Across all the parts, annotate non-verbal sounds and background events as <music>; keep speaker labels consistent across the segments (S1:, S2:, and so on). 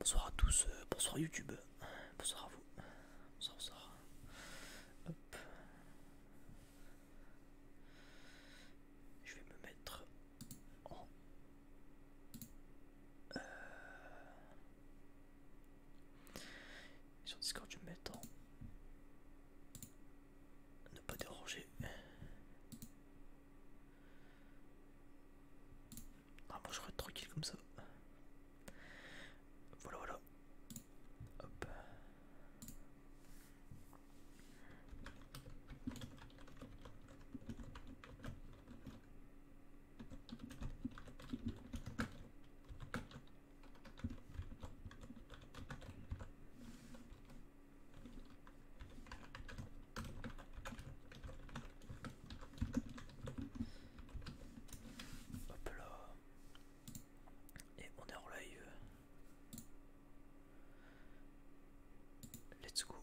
S1: Bonsoir à tous, euh, bonsoir YouTube, bonsoir à vous, bonsoir, bonsoir. Hop. Je vais me mettre en... Euh, sur Discord, je vais me mettre en... Ne pas déranger. Ah bon, je reste tranquille comme ça. Voilà, voilà. Hop. Hop là. Et on est en live. Let's go.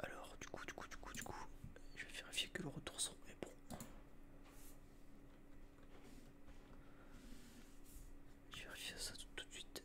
S1: Alors, du coup, du coup, du coup, du coup, je vais vérifier que le retour son est bon. Je vais vérifier ça tout de suite.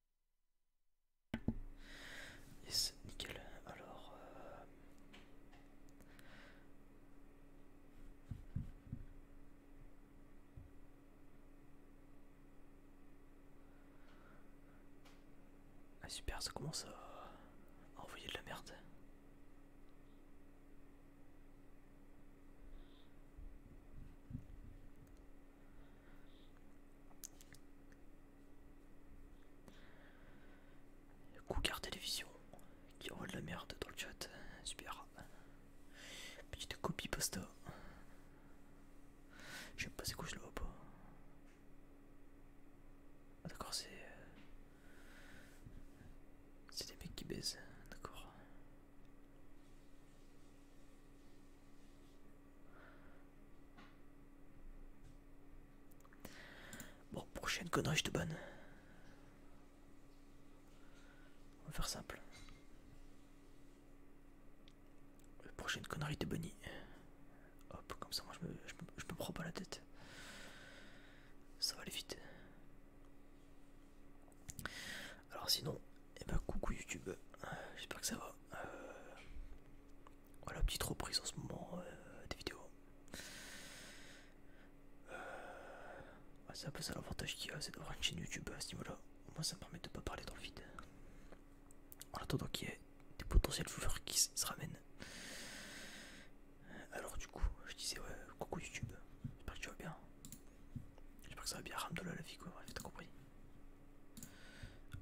S1: nickel. Alors, euh, ah super, ça commence à envoyer de la merde. Cougar Télévision qui envoie de la merde dans le chat. Super. Petite copie pasta Je sais pas c'est quoi, je le vois pas. Ah, d'accord, c'est... Euh, c'est des mecs qui baisent, d'accord. Bon, prochaine connerie, de bonne. On va faire simple. prochaine connerie de Bonnie. Hop, comme ça, moi je me, prends pas la tête. Ça va aller vite. Alors sinon, et eh ben coucou YouTube. J'espère que ça va. Euh, voilà, oh, petite reprise en ce moment euh, des vidéos. Euh, c'est un peu ça l'avantage qu'il y a, c'est d'avoir une chaîne YouTube à ce niveau-là. Au moins, ça me permet de ne pas parler dans le vide. En attendant qu'il y ait des potentiels joueurs qui se ramènent. Alors, du coup, je disais, ouais, coucou YouTube. J'espère que tu vas bien. J'espère que ça va bien, Ramdola la vie, quoi. tu t'as compris.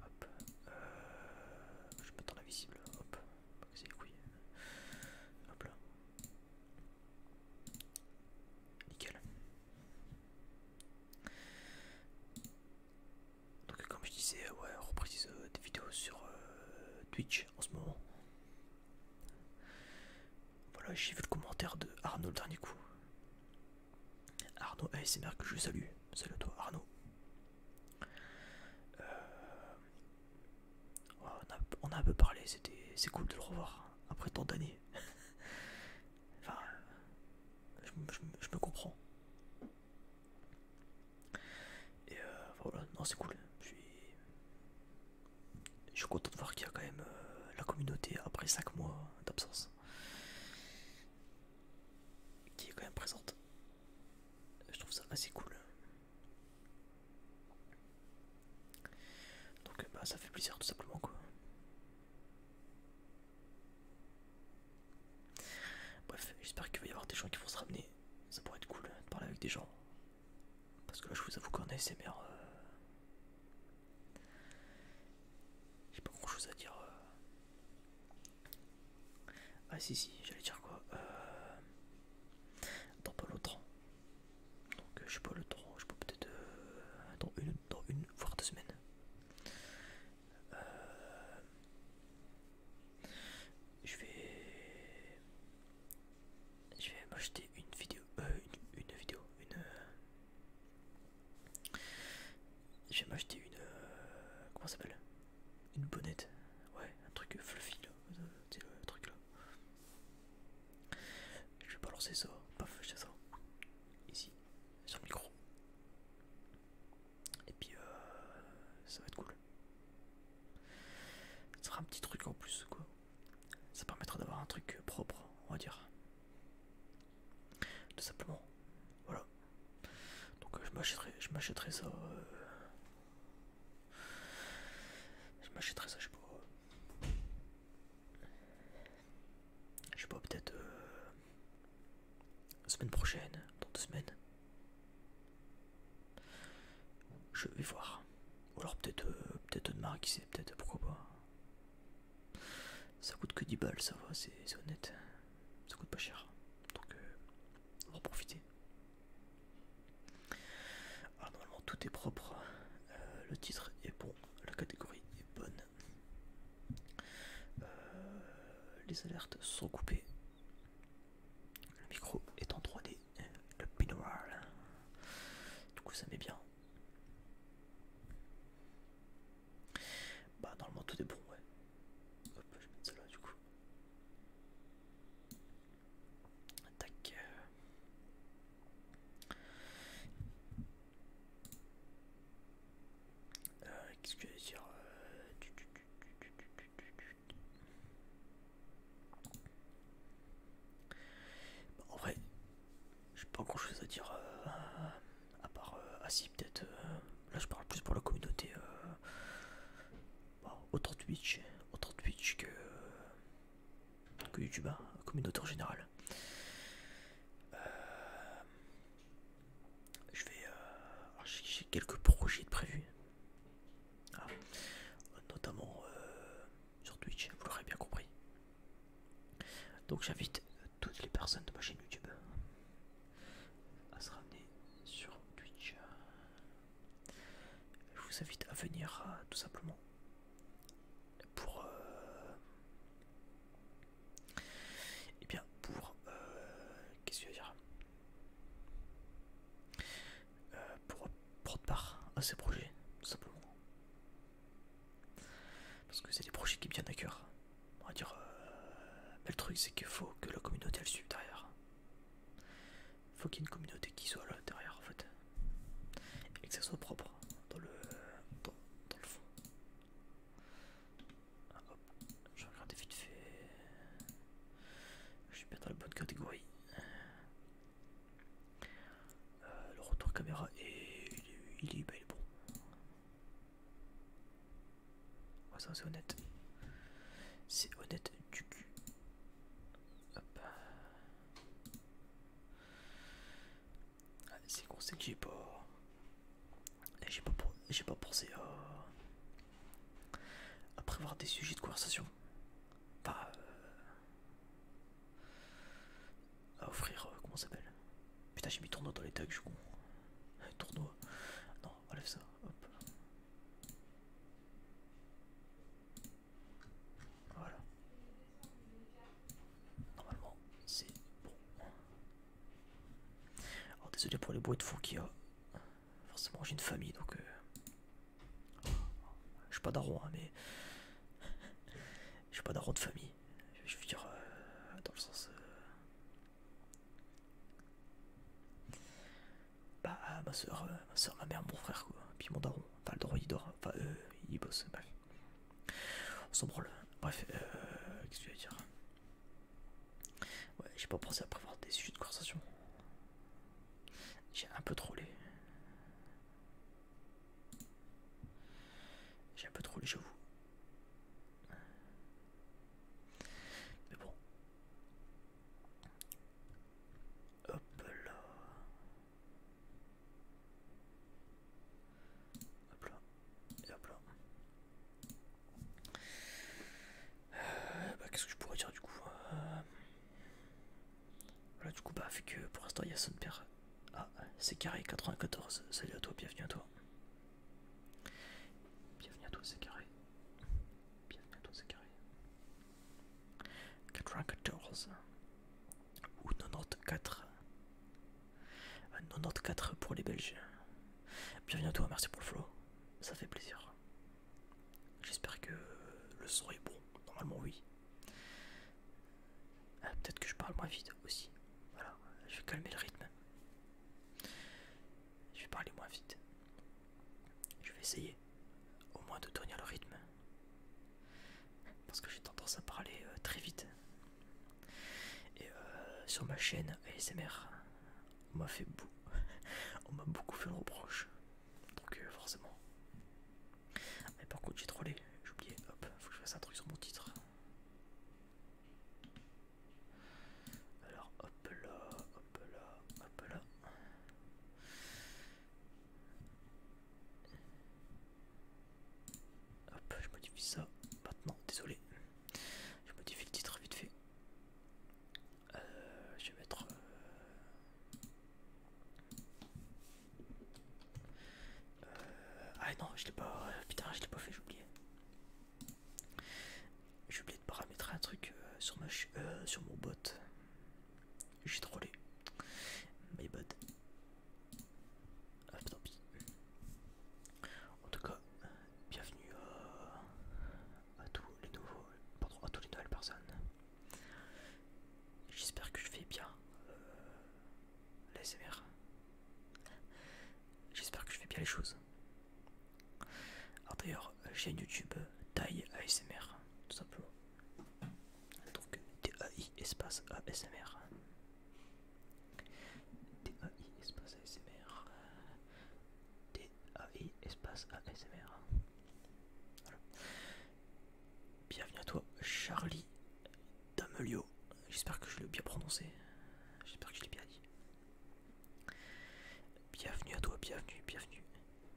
S1: Hop. Euh, je peux la visible, Hop. C'est les couilles. Hop là. Nickel. Donc comme je disais, ouais, on reprise euh, des vidéos sur euh, Twitch en ce moment. Voilà, j'ai vu le commentaire de Arnaud le dernier coup. Arnaud eh, ASMR que je salue. Salut à toi Arnaud. Euh, on, a, un peu parlé, c'est cool de le revoir hein, après tant d'années. <laughs> enfin, je, me comprends. Et euh, voilà, non c'est cool. Je suis, content de voir qu'il y a quand même euh, la communauté après 5 mois d'absence qui est quand même présente. Je trouve ça assez cool. Donc bah, ça fait plaisir tout simplement quoi. Bref, j'espère qu'il va y avoir des gens qui vont se ramener. Ça pourrait être cool hein, de parler avec des gens. Parce que là je vous avoue qu'en ASMR... Euh, j'ai pas grand chose à dire. Euh, ah si si, j'allais dire quoi euh... Dans pas l'autre Donc euh, je sais pas le je peux peut-être euh, dans une, dans une voire deux semaines. Euh, je vais, je vais m'acheter une vidéo, une, vidéo, une. Je vais m'acheter une, comment ça s'appelle une bonnette, ouais, un truc fluffy là, c'est euh, le truc là. Je vais balancer ça, paf, fais ça, ici, sur le micro. Et puis, euh, ça va être cool. Ça sera un petit truc en plus, quoi. Ça permettra d'avoir un truc propre, on va dire. Tout simplement, voilà. Donc euh, je m'achèterai je m'achèterai ça. Euh, je m'achèterai ça, je sais pas. Je sais pas, peut-être la euh, semaine prochaine, dans deux semaines. Je vais voir. Ou alors peut-être peut-être demain, qui sait, peut-être pourquoi pas. Ça coûte que 10 balles, ça va, c'est honnête ça coûte pas cher, donc euh, on va en profiter. Ah, normalement tout est propre, euh, le titre est bon, la catégorie est bonne, euh, les alertes sont coupées, le micro est en 3D, le binaural. du coup ça met bien. Bah normalement tout est bon ouais. Hop, je vais mettre ça là du coup. Tac. Euh, Qu'est-ce que je vais dire En vrai, j'ai pas grand chose à dire. Euh à part euh, assis ah, peut-être euh, là je parle plus pour la communauté euh, bah, autre Twitch autre Twitch que YouTube hein, communauté en général je vais j'ai quelques projets de prévus ah, notamment sur Twitch vous l'aurez bien compris donc j'invite toutes les personnes de ma chaîne YouTube à se ramener sur Twitch. Je vous invite à venir euh, tout simplement pour euh, eh bien pour euh, qu'est-ce que je veux dire pour prendre part à ces projets tout simplement parce que c'est des projets qui me tiennent à cœur on va dire euh, le truc c'est qu'il faut que la communauté elle suive derrière faut qu'il y ait une communauté qui soit là derrière en fait et que ça soit propre hein, dans le dans, le fond ah, hop je regarde vite fait je suis bien dans la bonne catégorie euh, le retour caméra est, il est, bah, est bon Ouais ça c'est honnête. C'est honnête du cul. Hop. Ah, c'est qu'on sait que j'ai pas. Eh, j'ai pas, pas pensé à. prévoir des sujets de conversation. Pas. Euh... à offrir. Euh, comment ça s'appelle Putain, j'ai mis tournoi dans les tags, je suis con. Euh, tournoi. Non, enlève ça. Voilà. Normalement, c'est bon. désolé pour les bois de fou qui a. Forcément, j'ai une famille, donc... Euh, je suis pas d'arroi hein, mais... <laughs> Je suis pas daron de famille. Je veux dire, euh, dans le sens... Euh, bah, euh, ma soeur, euh, ma soeur, ma mère, mon frère, quoi. Puis mon daron, Enfin le droit, il dort. Enfin, eux il bosse, bref. On s'en branle. Bref, euh, qu'est-ce que tu veux dire Ouais, j'ai pas pensé à prévoir des sujets de conversation. J'ai un peu trollé. J'ai un peu trollé, j'avoue. Mais bon, Hop là. Hop là. Et hop là. Euh, bah, qu'est-ce que je pourrais dire du coup euh, Là du coup, bah, fait que pour l'instant il y a son père. Ah, c'est carré 94. Salut à toi, bienvenue à toi. Bienvenue à toi, c'est carré. Bienvenue à toi c'est carré. 94 ou 94 94 euh, pour les Belges. Bienvenue à toi, merci pour le flow. Ça fait plaisir. J'espère que le son est bon. Normalement, oui. Euh, peut-être que je parle moins vite aussi. Voilà, je vais calmer le rythme. Je vais parler moins vite. Je vais essayer au moins de tenir le rythme. Parce que j'ai tendance à parler euh, très vite. Et euh, sur ma chaîne ASMR, on m'a fait beau. <laughs> on m'a beaucoup fait le reproche. Donc euh, forcément. Mais par contre j'ai trollé, j'ai oublié, hop, faut que je fasse un truc sur mon titre. Alors hop là, hop là, hop là. Hop, je modifie ça maintenant, désolé. Je modifie le titre vite fait. Euh, je vais mettre... Euh, euh, ah non, je l'ai pas... Putain, je l'ai pas fait, j'ai oublié. J'ai oublié de paramétrer un truc euh, sur, euh, sur mon bot. J'ai trollé. My bot. Ah, pis. En tout cas, bienvenue euh, à, tous les nouveaux, à toutes les nouvelles personnes. J'espère que je fais bien l'ASMR. J'espère que je fais bien les choses d'ailleurs, euh, chaîne YouTube euh, taille ASMR, tout simplement. Donc TAI espace ASMR. TAI espace ASMR. TAI espace ASMR. Bienvenue à toi, Charlie Damelio. J'espère que je l'ai bien prononcé. J'espère que je l'ai bien dit. Bienvenue à toi, bienvenue, bienvenue,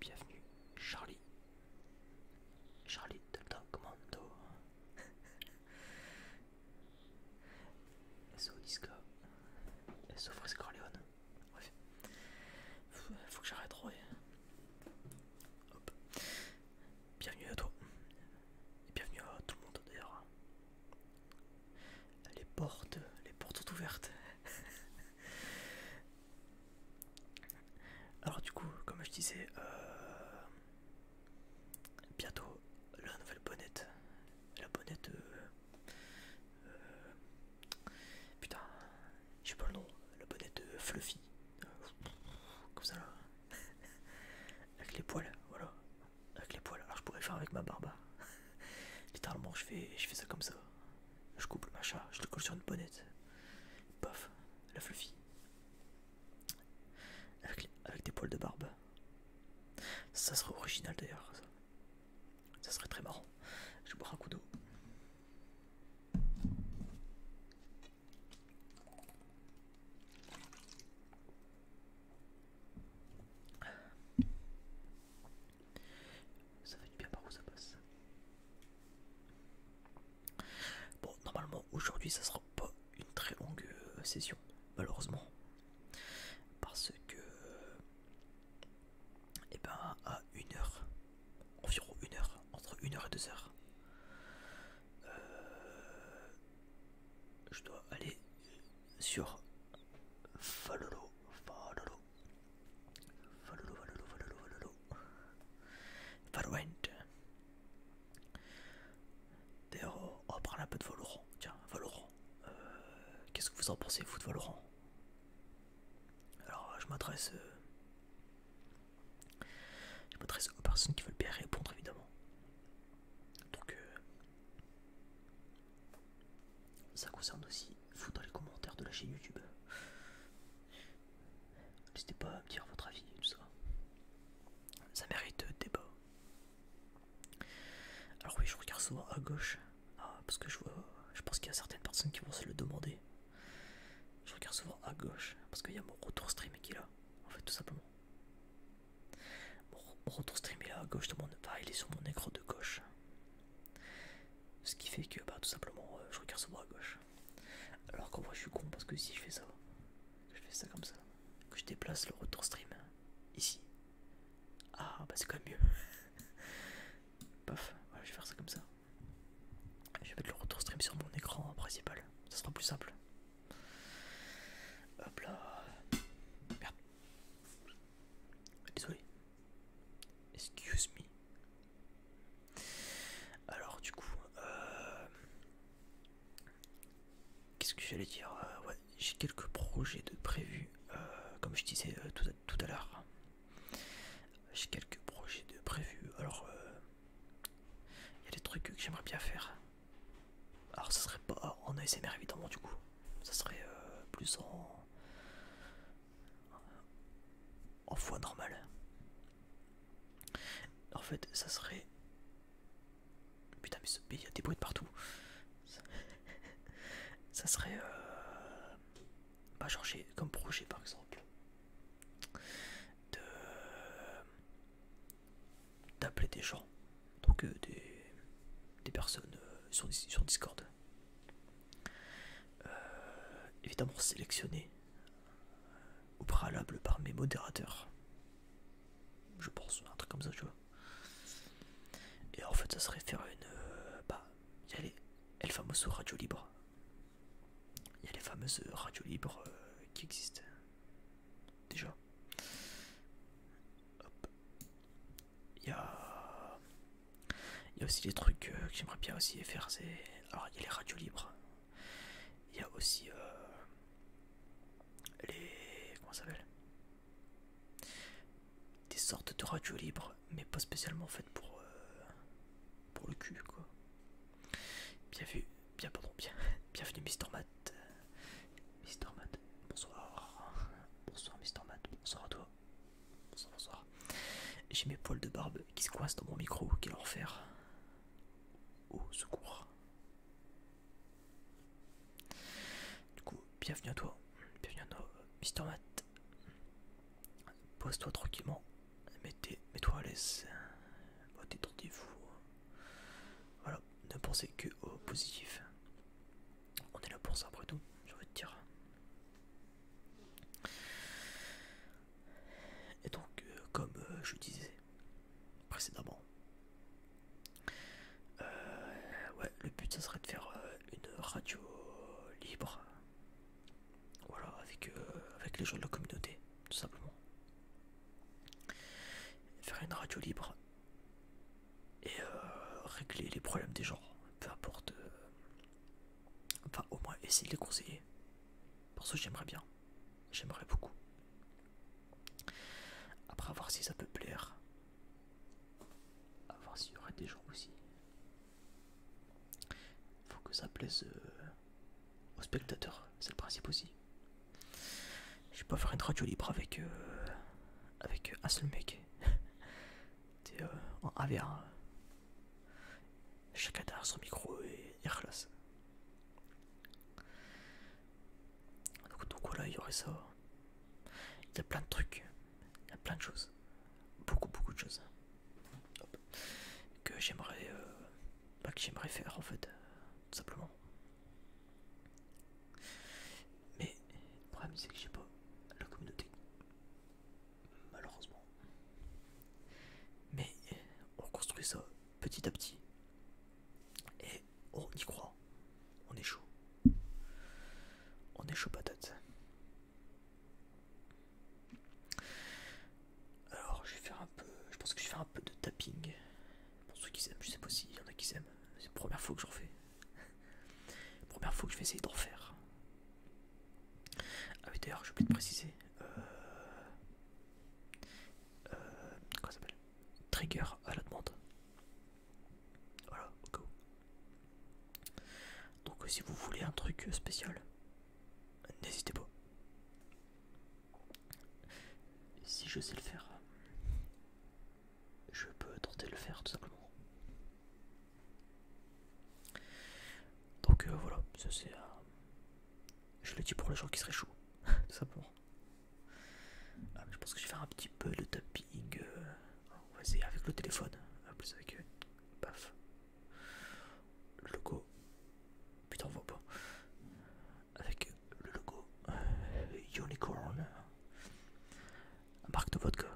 S1: bienvenue, Charlie. Charlie Delta Commando. au <laughs> Disco. Bref. Faut, faut que j'arrête trop. Hop. Bienvenue à toi. Et bienvenue à tout le monde d'ailleurs. Les portes, les portes sont ouvertes. <laughs> Alors du coup, comme je disais, euh, bientôt la nouvelle bonnette. La bonnette... Putain, euh, je euh, putain, j'ai pas le nom. La bonnette fluffy. comme ça là. <laughs> Avec les poils, voilà. Avec les poils. Alors je pourrais faire avec ma barbe. <laughs> Littéralement, je fais, je fais ça comme ça. Je coupe le machin, je le colle sur une bonnette. Paf, la fluffy. Avec, des poils de barbe. Ça serait original d'ailleurs. Ça. ça serait très marrant. Je vais boire un coup d'eau. Ça fait du bien par où ça passe. Bon, normalement aujourd'hui ça sera pas une très longue euh, session, malheureusement. Parce que. Et eh ben à une heure, environ une heure, entre une heure et deux heures, euh, je dois aller sur Falolo, Falolo, Valolo, Valolo, Valolo, Valorant. D'ailleurs, oh, on va un peu de Valorant. Tiens, Valorant. Euh, qu'est-ce que vous en pensez, vous, de Valorant Alors, euh, je m'adresse. Euh, je m'adresse aux personnes qui veulent bien répondre, évidemment. Donc, ça concerne aussi vous dans les commentaires de la chaîne YouTube. N'hésitez pas à me dire votre avis et tout ça. Ça mérite euh, débat. Alors oui, je regarde souvent à gauche. Ah, parce que je vois, je pense qu'il y a certaines personnes qui vont se le demander. Je regarde souvent à gauche parce qu'il y a mon retour stream qui est là, en fait, tout simplement. Mon, retour stream est là à gauche de mon, enfin, il est sur mon écran de gauche. Ce qui fait que bah, tout simplement euh, je regarde sur bras à gauche. Alors qu'en moi je suis con parce que si je fais ça, que je fais ça comme ça, que je déplace le retour stream ici. Ah bah c'est quand même mieux. <laughs> Paf, je vais faire ça comme ça. Je vais mettre le retour stream sur mon écran principal, ça sera plus simple. Hop là. Merde. Désolé, Excuse me. Alors du coup, euh, qu'est-ce que j'allais dire euh, j'ai quelques projets de prévu. Euh, comme je disais tout à, l'heure. J'ai quelques projets de prévu. Alors, il y a des trucs que j'aimerais bien faire. Alors, ça serait pas en ASMR évidemment du coup. Ça serait plus en en foi normale. En fait, ça serait. Putain, mais il y a des bruits de partout. Ça, serait. Euh, pas comme projet par exemple. D'appeler des gens. Donc, euh, des. personnes euh, sur Discord. Euh, évidemment sélectionné euh, au préalable par mes modérateurs. Je pense, un truc comme ça, tu vois. Et en fait, ça serait faire une. Euh, bah, il y a les, fameuses radios libres. Il y a les fameuses radios libres qui existent. Déjà. Hop. Il y a, aussi des trucs euh, que j'aimerais bien aussi faire. Alors, il y a les radios libres. Il y a aussi euh, les. Comment ça s'appelle Des sortes de radios libres, mais pas spécialement fait pour, euh, pour le cul, quoi. Bienvenue, Bien, pardon, bien. <laughs> Bienvenue, Mister Matt. Mister Matt, bonsoir. Bonsoir, Mister Matt. Bonsoir à toi. Bonsoir. J'ai mes poils de barbe qui se coincent dans mon micro. en faire Au secours. Du coup, bienvenue à toi. Bienvenue à toi, Mister Matt. Pose-toi tranquillement. Mets-toi à l'aise. Détendez-vous. Voilà, ne pensez que au positif. On est là pour ça après tout, je envie te dire. Et donc, euh, comme euh, je disais précédemment, euh, ouais, le but ça serait de faire une radio libre, voilà, avec, avec les gens de la communauté, tout simplement. Faire une radio libre et régler les problèmes des gens, peu importe Enfin, au moins, essayer de les conseiller. Parce que j'aimerais bien. J'aimerais beaucoup. Après, voir si ça peut plaire. À voir s'il y aurait des gens aussi. Faut que ça plaise euh, aux spectateurs. C'est le principe aussi. Je vais pas faire une radio libre avec, euh, avec un euh, seul mec. <laughs> t'es euh, en av euh, Chacun son micro et, hier classe Donc, donc voilà, il y aurait ça. Il y a plein de trucs, il y a plein de choses, beaucoup beaucoup de choses que j'aimerais, euh, bah, que j'aimerais faire en fait, tout simplement. Mais le problème c'est que j'ai pas la communauté malheureusement. Mais on construit ça petit à petit. Et on y croit. On est chaud. On est chaud patate. Alors je vais faire un peu. Je pense que je vais faire un peu de tapping. Pour ceux qui s'aiment, je sais pas il y en a qui s'aiment. C'est la première fois que j'en fais. Première fois que je vais essayer de refaire. Ah oui d'ailleurs je oublié te préciser. Euh, euh, s'appelle Trigger à la demande. Voilà, go. Donc euh, si vous voulez un truc euh, spécial, n'hésitez pas. Si je sais le faire, je peux tenter de le faire tout simplement. Donc euh, voilà, c'est. Euh, je le dis pour les gens qui seraient chauds, <laughs> tout simplement. Ah, je pense que je vais faire un petit peu de tapping. Euh, avec le téléphone. avec. paf. Le logo. Putain, on voit pas. Avec le logo Unicorn. Marque de vodka.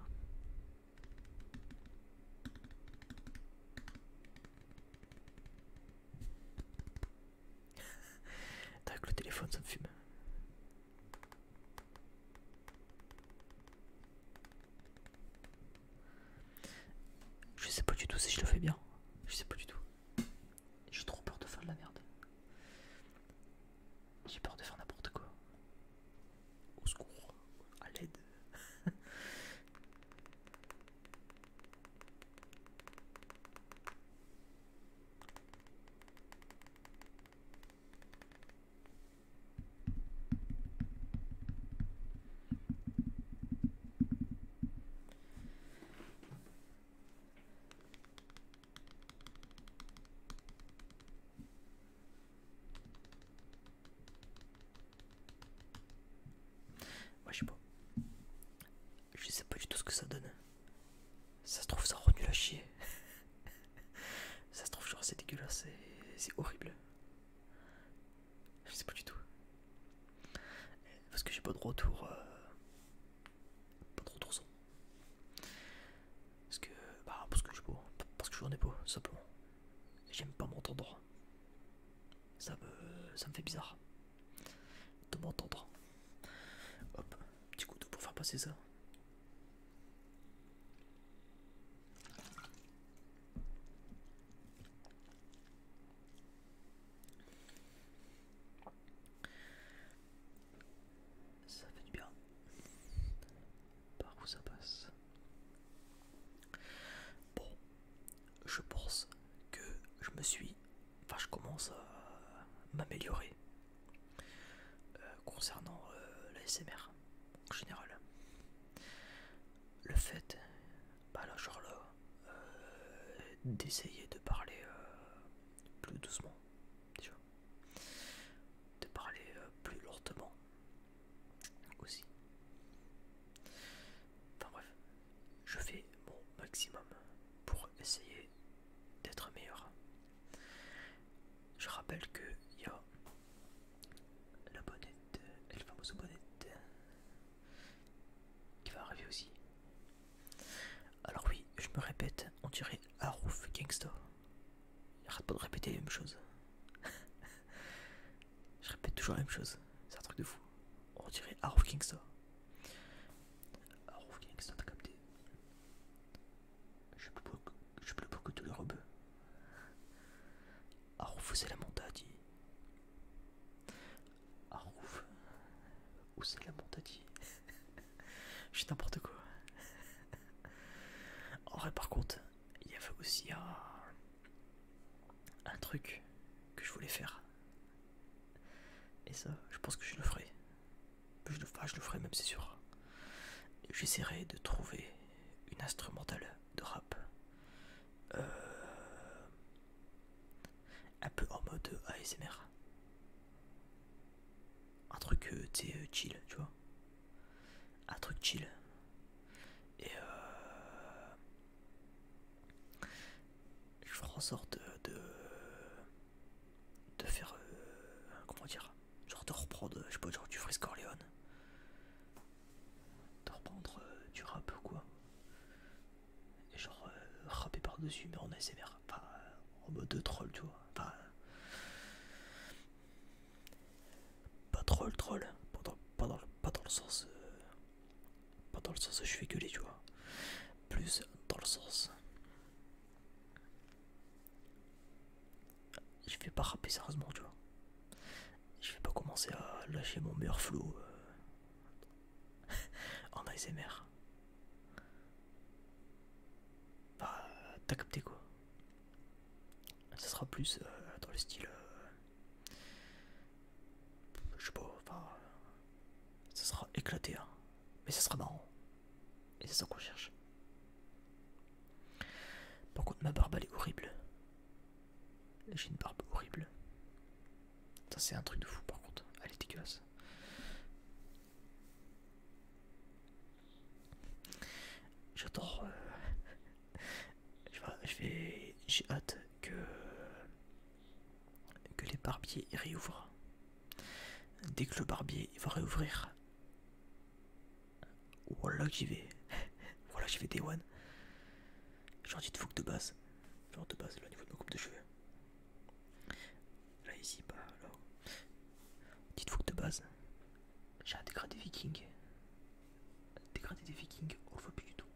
S1: Avec <laughs> le téléphone, ça me fume. Je sais pas du tout si je le fais bien. Je sais pas du tout. J'ai trop peur de faire de la merde. J'ai peur de faire n'importe quoi. Au secours, à l'aide. Moi je sais pas. Je sais pas du tout ce que ça donne. Ça se trouve ça rend nul à chier. <laughs> ça se trouve genre c'est dégueulasse, c'est horrible. Je sais pas du tout. Parce que j'ai pas de retour. Euh, pas de retour Parce que. Bah parce que je suis Parce que je n'en ai pas, simplement. J'aime pas m'entendre. Ça me, ça me fait bizarre de m'entendre. Hop, petit couteau pour faire passer ça. Ça fait du bien par où ça passe. Bon, je pense que je me suis, enfin je commence à m'améliorer euh, concernant euh, la l'ASMR en général. Le fait, bah là genre là, euh, d'essayer de parler plus doucement, déjà, de parler plus lentement, aussi. Enfin bref, je fais mon maximum pour essayer d'être meilleur. Je rappelle que il y a la bonnette, la fameuse bonnette qui va arriver aussi. Alors oui, je me répète, on dirait Roof Gangsta. Arrête pas de répéter la même chose <laughs> Je répète toujours la même chose. C'est un truc de fou. On dirait Arouf Kingston. Arouf Kingston, t'as capté. Je plus beau, je suis plus beau que tous les Arouf où c'est la montadie. Arouf où c'est la montadie Je dis n'importe quoi. En vrai, par contre, il y avait aussi un, truc que je voulais faire. Et ça, je pense que je le ferai. Je le, ferai même, c'est sûr. J'essaierai de trouver une instrumentale de rap. Euh, un peu en mode ASMR. Un truc, euh, tu euh, chill, tu vois un truc chill. Et euh, je ferai en sorte de, de, faire, euh, comment dire, genre de reprendre, je sais pas, genre du Frisco Corleone, de reprendre euh, du rap ou quoi, et genre rapper par-dessus, mais en ASMR, pas en mode de troll, tu vois, pas troll troll, pas dans, le sens... Euh, pas dans le sens je fais gueuler, tu vois. Plus dans le sens... Je vais pas râper sérieusement, tu vois. Je vais pas commencer à lâcher mon meilleur flow euh, <laughs> en ASMR. Bah, t'as capté quoi ça sera plus euh, dans le style euh, je sais pas enfin ça sera éclaté hein. mais ça sera marrant et c'est ça qu'on cherche par contre ma barbe elle est horrible j'ai une barbe horrible ça c'est un truc de fou par contre elle est dégueulasse j'adore euh, je vais j'ai hâte que les barbiers réouvrent dès que le barbier va réouvrir voilà que j'y vais <laughs> voilà j'y vais des one genre dites vous que de base genre de base là au niveau de ma coupe de cheveux là ici pas. Bah, là dites vous que de base j'ai un dégradé viking Dégradé des vikings, on le voit plus du tout.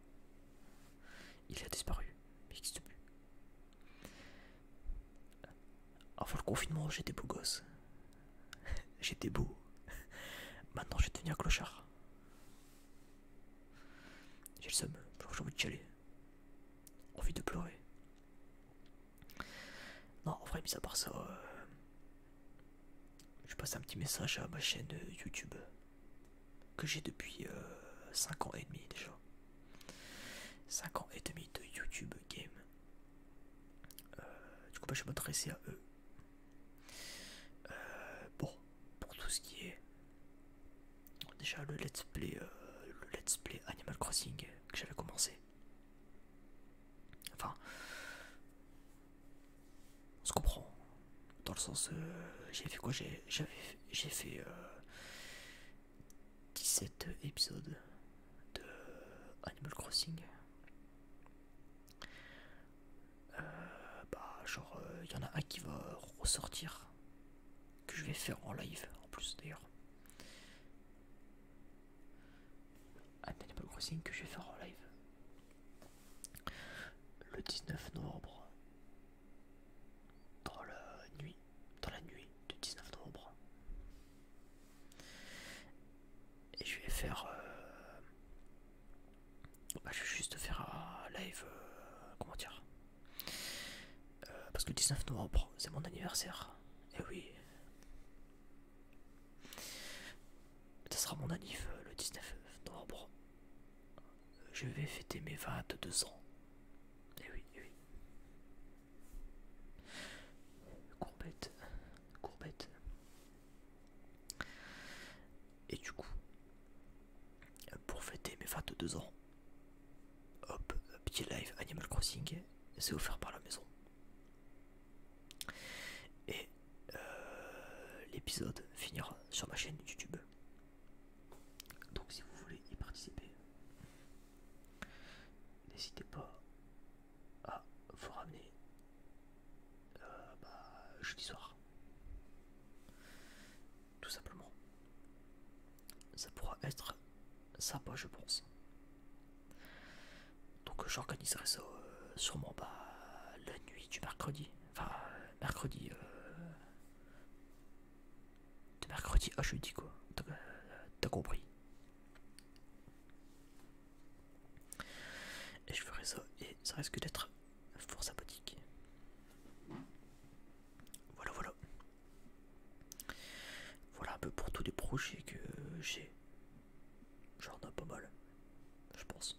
S1: Il a disparu, il n'existe plus. Avant le confinement, j'étais beau gosse. <laughs> J'étais beau. <laughs> Maintenant, je vais devenir clochard. J'ai le seum, j'ai envie de chialer. Envie de pleurer. Non, en vrai, mis à part ça, euh, je passe un petit message à ma chaîne euh, YouTube que j'ai depuis 5 euh, ans et demi déjà. 5 ans et demi de YouTube Game. Euh, du coup, bah, je vais m'adresser à eux. bon, pour tout ce qui est déjà le let's play, le let's play Animal Crossing que j'avais commencé. Enfin, on se comprend. Dans le sens, euh, j'ai fait quoi J'ai fait 17 euh, épisodes de Animal Crossing. Euh, bah, genre, il y en a un qui va ressortir, que je vais faire en live en plus d'ailleurs. Un Animal Crossing que je vais faire en live. Le 19 novembre, dans la nuit, dans la nuit du 19 novembre, et je vais faire, euh, bah, je vais juste faire un live, euh, comment dire, euh, parce que le 19 novembre c'est mon anniversaire, et oui, ça sera mon anniversaire euh, le 19 novembre. Euh, je vais fêter mes 22 ans. Et eh oui, et eh oui. Courbette, courbette. Et du coup, pour fêter mes 22 ans, hop, petit live Animal Crossing, c'est offert par la maison. Et euh, l'épisode finira sur ma chaîne YouTube. Donc si vous voulez y participer, n'hésitez pas à vous ramener euh, bah, jeudi soir. Tout simplement. Ça pourra être sympa je pense. Donc euh, j'organiserai ça euh, sûrement bas la nuit du mercredi. Enfin, euh, mercredi. De mercredi à jeudi quoi. T'as compris. Et je ferai ça et ça risque d'être fort sympathique. Voilà, voilà. Voilà un peu pour tous les projets que j'ai J'en ai pas mal, je pense.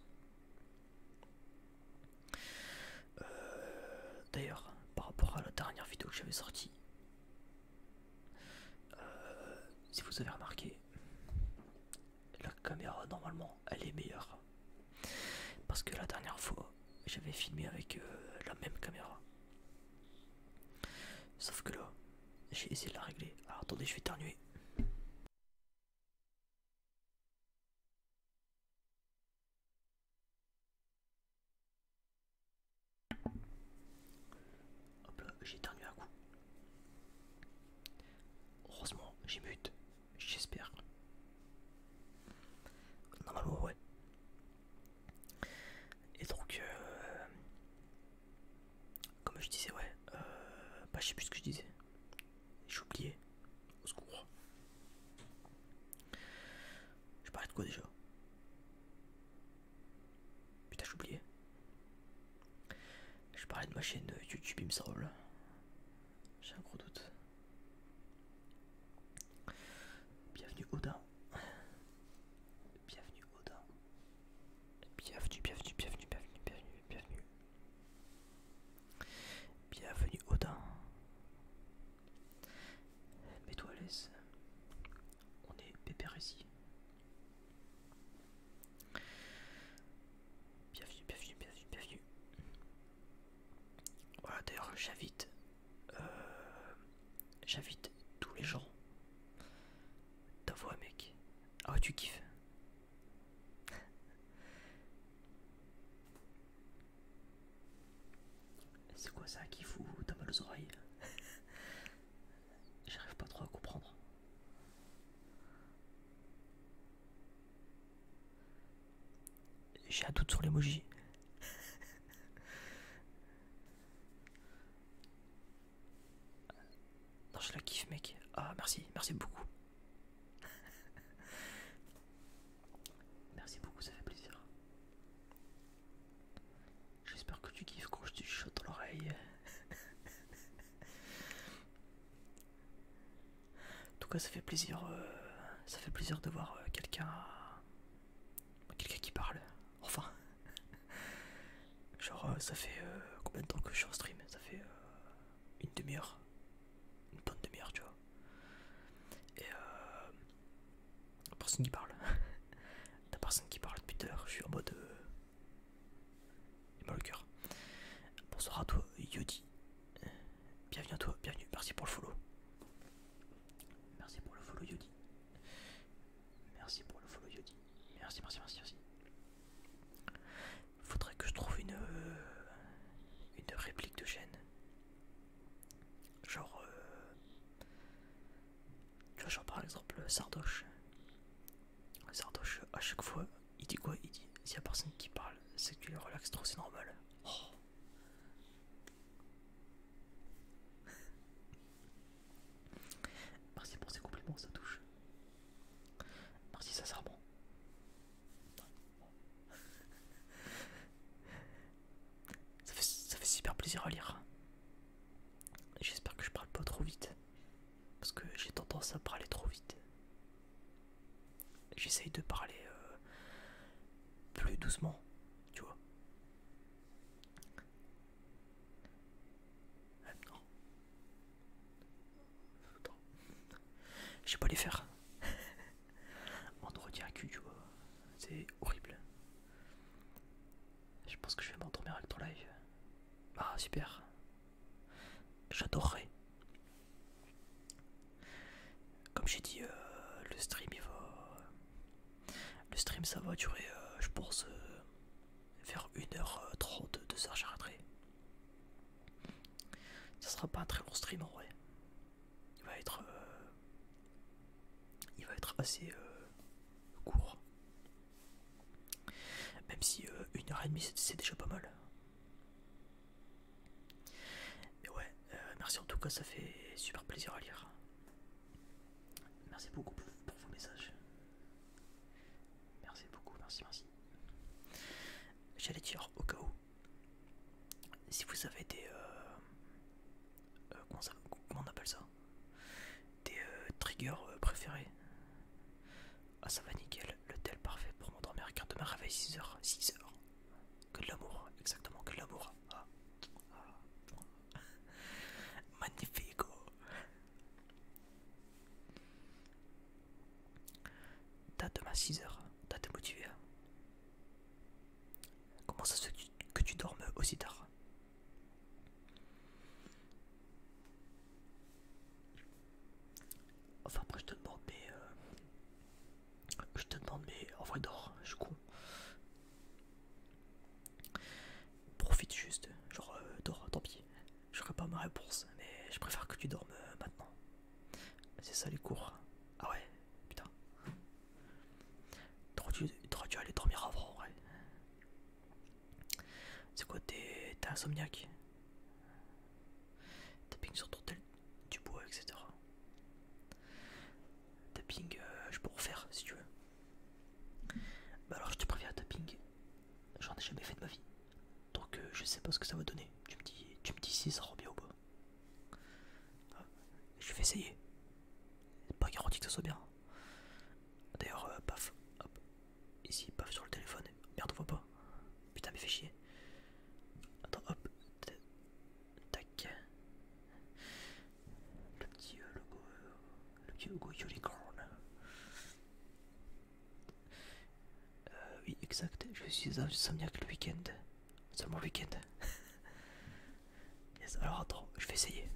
S1: Euh, d'ailleurs, par rapport à la dernière vidéo que j'avais sortie, euh, si vous avez remarqué, la caméra normalement elle est meilleure. Parce que la dernière fois, j'avais filmé avec euh, la même caméra. Sauf que là, j'ai essayé de la régler. Alors attendez, je vais éternuer. Hop là, j'ai éternué un coup. Heureusement, j'ai but. J'espère. Normalement, ouais. Et donc, euh, comme je disais, ouais, euh, bah, je sais plus ce que je disais. J'oubliais. Au secours. Je parlais de quoi déjà Putain, j'ai oublié Je parlais de ma chaîne de YouTube, il me semble. J'ai un gros doute. Bienvenue Odin. Bienvenue Odin. Bienvenue, bienvenue, bienvenue, bienvenue, bienvenue, bienvenue. Bienvenue Odin. Mets-toi On est pépère ici. Bienvenue, bienvenue, bienvenue, bienvenue. Voilà, d'ailleurs, j'invite. Euh, j'invite tous les gens. T'as voix, mec. Ah, tu kiffes. C'est quoi ça qui fout mal aux oreilles <laughs> J'arrive pas trop à comprendre. J'ai un doute sur l'emoji. <laughs> non, je la kiffe, mec. Ah, merci, merci beaucoup. <laughs> Merci beaucoup, ça fait plaisir. J'espère que tu kiffes quand je te chuchote dans l'oreille. <laughs> en tout cas, ça fait plaisir, euh, ça fait plaisir de voir euh, quelqu'un, quelqu'un qui parle. Enfin, <laughs> genre, euh, ça fait combien de temps que je suis en stream Ça fait une demi-heure, une bonne demi-heure, tu vois. Et euh, personne qui parle, <laughs> la personne qui parle depuis tout je suis en mode. Euh, il m'a le cœur. Bonsoir à toi, Yodi. Bienvenue à toi, bienvenue, merci pour le follow. Merci pour le follow, Yodi. Merci pour le follow, Yodi. Merci, merci, merci, merci. Faudrait que je trouve une, euh, une réplique de chaîne. Genre, tu euh, vois, par exemple Sardoche. Sardoche, à chaque fois, il dit quoi Il dit s'il y a personne qui parle, c'est que tu le relaxes trop, c'est normal. Oh. <laughs> Merci pour ces compliments, ça touche. Merci ça bon ça, fait, super plaisir à lire. J'espère que je parle pas trop vite. Parce que j'ai tendance à parler trop vite. J'essaye de parler euh, plus doucement, tu vois. Euh, je pas les faire. <laughs> Entretien à cul, tu vois. C'est horrible. Je pense que je vais m'endormir avec ton live. Ah, super. J'adorerais. Comme j'ai dit, euh, le stream il va. Le stream ça va durer, euh, je pense, faire euh, vers 1h30, de h j'arrêterai. Ça sera pas un très long stream en vrai. Il va être, euh, il va être assez euh, court. Même si euh, une heure et demie c'est déjà pas mal. Mais ouais, merci en tout cas, ça fait super plaisir à lire. Merci beaucoup pour vos messages. Merci beaucoup, merci, merci. J'allais dire au cas où, si vous avez des... Euh, euh, comment, on appelle ça Des euh, triggers préférés. Ah ça va nickel, le tel parfait pour m'endormir car demain à 6h, 6h. Que de l'amour, exactement, que de l'amour. Ah. <laughs> Magnifique Magnifico. T'as demain 6h, t'as été motivé. Comment ça se fait que tu, dors dormes aussi tard Enfin après je te demande mais... Euh, je te demande mais en vrai dors, je suis con. Profite juste, genre euh, dors, tant pis. Je ferai pas ma réponse, mais je préfère que tu dormes euh, maintenant. C'est ça les cours. Ah ouais, putain. Tu dû aller dormir avant, ouais. C'est quoi, t'es insomniaque Tapping sur ton tel du bois, etc. Tapping, euh, je peux refaire si tu veux. Bah alors je te préviens, tapping, j'en ai jamais fait de ma vie. Donc euh, je sais pas ce que ça va donner. Tu me dis, si ça rend bien ou pas. Ah, je vais essayer. Pas garanti que ça soit bien. D'ailleurs, euh, paf, hop, ici, paf sur le téléphone. Merde, on voit pas. Putain, mais fais chier. Attends, hop, tac. Le petit euh, logo, le petit logo unicorn. Euh, oui, exact. Je suis insomniaque le week-end. Seulement le week-end. <laughs> yes, alors attends, je vais essayer.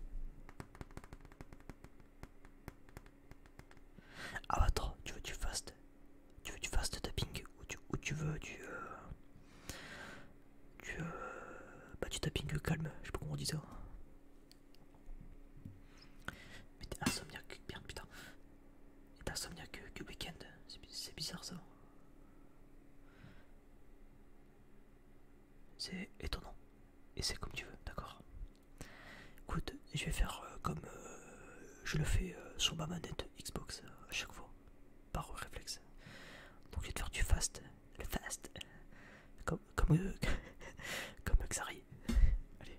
S1: Ah, attends, tu veux du fast Tu veux du fast tapping ou tu, tu veux euh, du. Euh, bah, du tapping calme, je sais pas comment on dit ça. Mais t'es insomniaque, bien putain et d'insomnia que, que le week-end. C'est bizarre ça. C'est étonnant. Et c'est comme tu veux, d'accord Écoute, je vais faire euh, comme euh, je le fais euh, sur ma manette Xbox à chaque fois, par réflexe. Donc je vais te faire du fast, le fast, comme, comme, <laughs> comme Xari. Allez,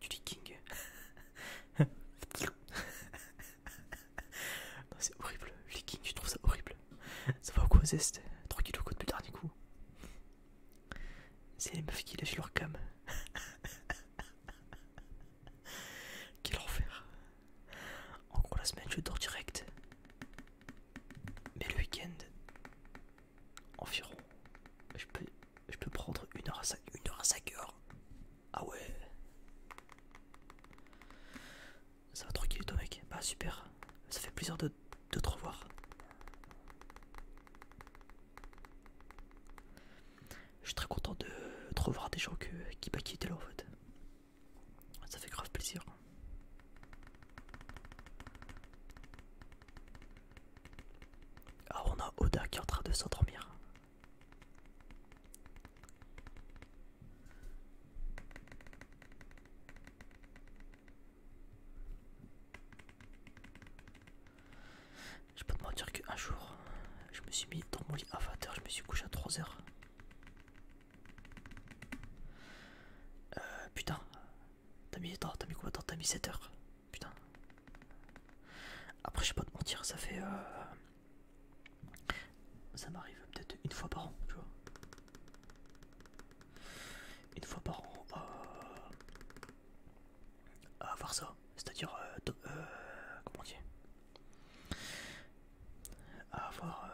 S1: du leaking. c'est horrible. Leaking, je trouve ça horrible. Ça va au quoi Tranquille au coup dernier coup. C'est les meufs qui lâchent leur cam. Quel enfer. En gros, la semaine, je dors direct. Mais le week-end, environ. Je peux, je peux prendre une heure à 5 heures. Ah ouais. Ça va tranquille toi mec. Bah super. Ça fait plaisir de, te revoir. Je suis très content de, te revoir des gens qui, pas bah, qui étaient là en fait. Ça fait grave plaisir. Ah, on a Oda qui est en train de s'endormir. Je peux te mentir qu'un jour, je me suis mis dans mon lit à 20h, je me suis couché à 3h. Euh, putain, T'as mis, t'as mis T'as mis 7 heures. Putain. Après, je sais pas te mentir, ça fait. Euh, ça m'arrive peut-être une fois par an, tu vois. Une fois par an euh... à avoir ça. C'est-à-dire. Euh, euh, comment dire, À avoir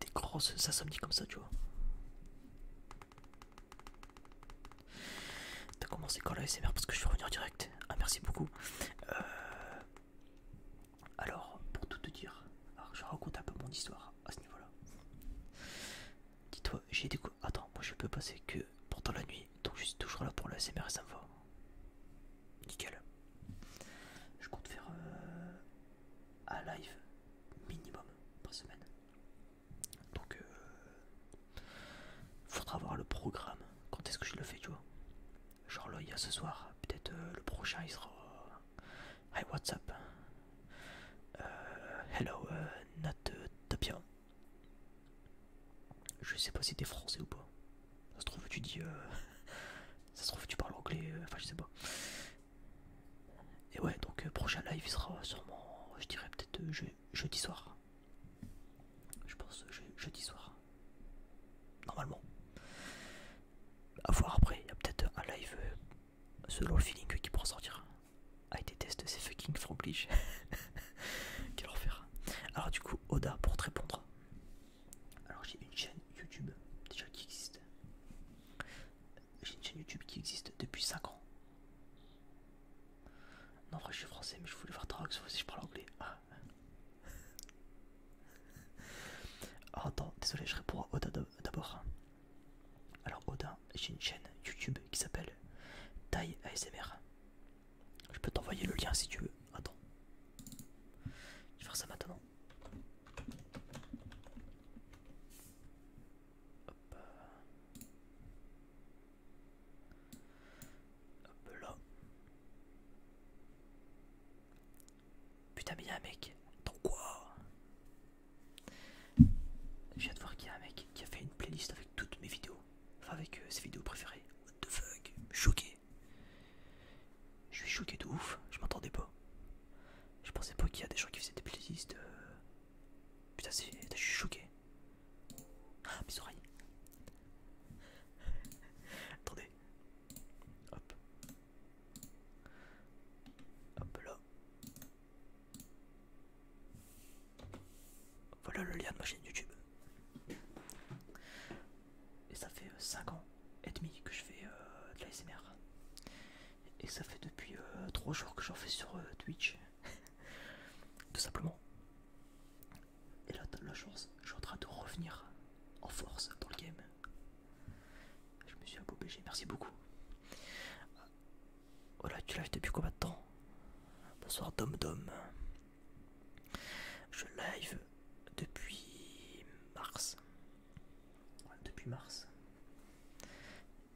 S1: des grosses insomnies comme ça, tu vois. T'as commencé quand la parce que je suis revenu en direct. Ah, merci beaucoup. Euh, alors, pour tout te dire, alors je raconte un peu mon histoire à ce niveau-là. Dis-toi, j'ai découvert. Attends, moi je peux passer que pendant la nuit, donc je suis toujours là pour la SMR et ça me va. Nickel. Je compte faire euh, à live minimum par semaine. Donc, euh, faudra voir le programme. Quand est-ce que je le fais, tu vois Genre là, il y a ce soir, peut-être euh, le prochain, il sera. Hi, what's up euh, Hello, not Nat Je sais pas si t'es français ou pas. Ça se trouve, tu dis. <laughs> Ça se trouve, tu parles anglais. Enfin, je sais pas. Et ouais, donc euh, prochain live sera sûrement, je dirais peut-être euh, jeudi soir. Je pense euh, jeudi soir. Normalement. À voir après, il y a peut-être un live selon le feeling qui pourra sortir. Ah, été déteste ces fucking franglish. <laughs> Quel enfer. Alors, du coup, Oda pour te répondre. Alors, j'ai une chaîne YouTube déjà qui existe j'ai une chaîne YouTube qui existe depuis 5 ans. Non, en je suis français, mais je voulais voir Drax, si je parle anglais. Ah. Oh, attends, désolé, je réponds à Oda d'abord. Alors, Oda, j'ai une chaîne YouTube qui s'appelle Taille ASMR. Je peux t'envoyer le lien si tu veux. Attends, je vais faire ça maintenant. Hop. Hop là. Putain mais un mec. Dans quoi J'ai hâte de voir qu'il y a un mec qui a fait une playlist avec toutes mes vidéos. Enfin avec euh, ses vidéos préférées. What the fuck Choqué. Je suis choqué de ouf, je m'entendais pas. Je pensais pas qu'il y a des gens qui faisaient des playlists. Euh. Putain, c'est. Je suis choqué. Ah, mes oreilles. Attendez. Hop. Hop là. Voilà le lien de ma chaîne YouTube. Et ça fait 5 euh, ans et demi que je fais euh, de de l'ASMR et ça fait depuis euh, trois jours que j'en fais sur euh, Twitch <laughs> tout simplement et là t'as la chance je suis en train de revenir en force dans le game je me suis obligé, merci beaucoup voilà tu live depuis combien de temps bonsoir Dom Dom je live depuis mars depuis mars.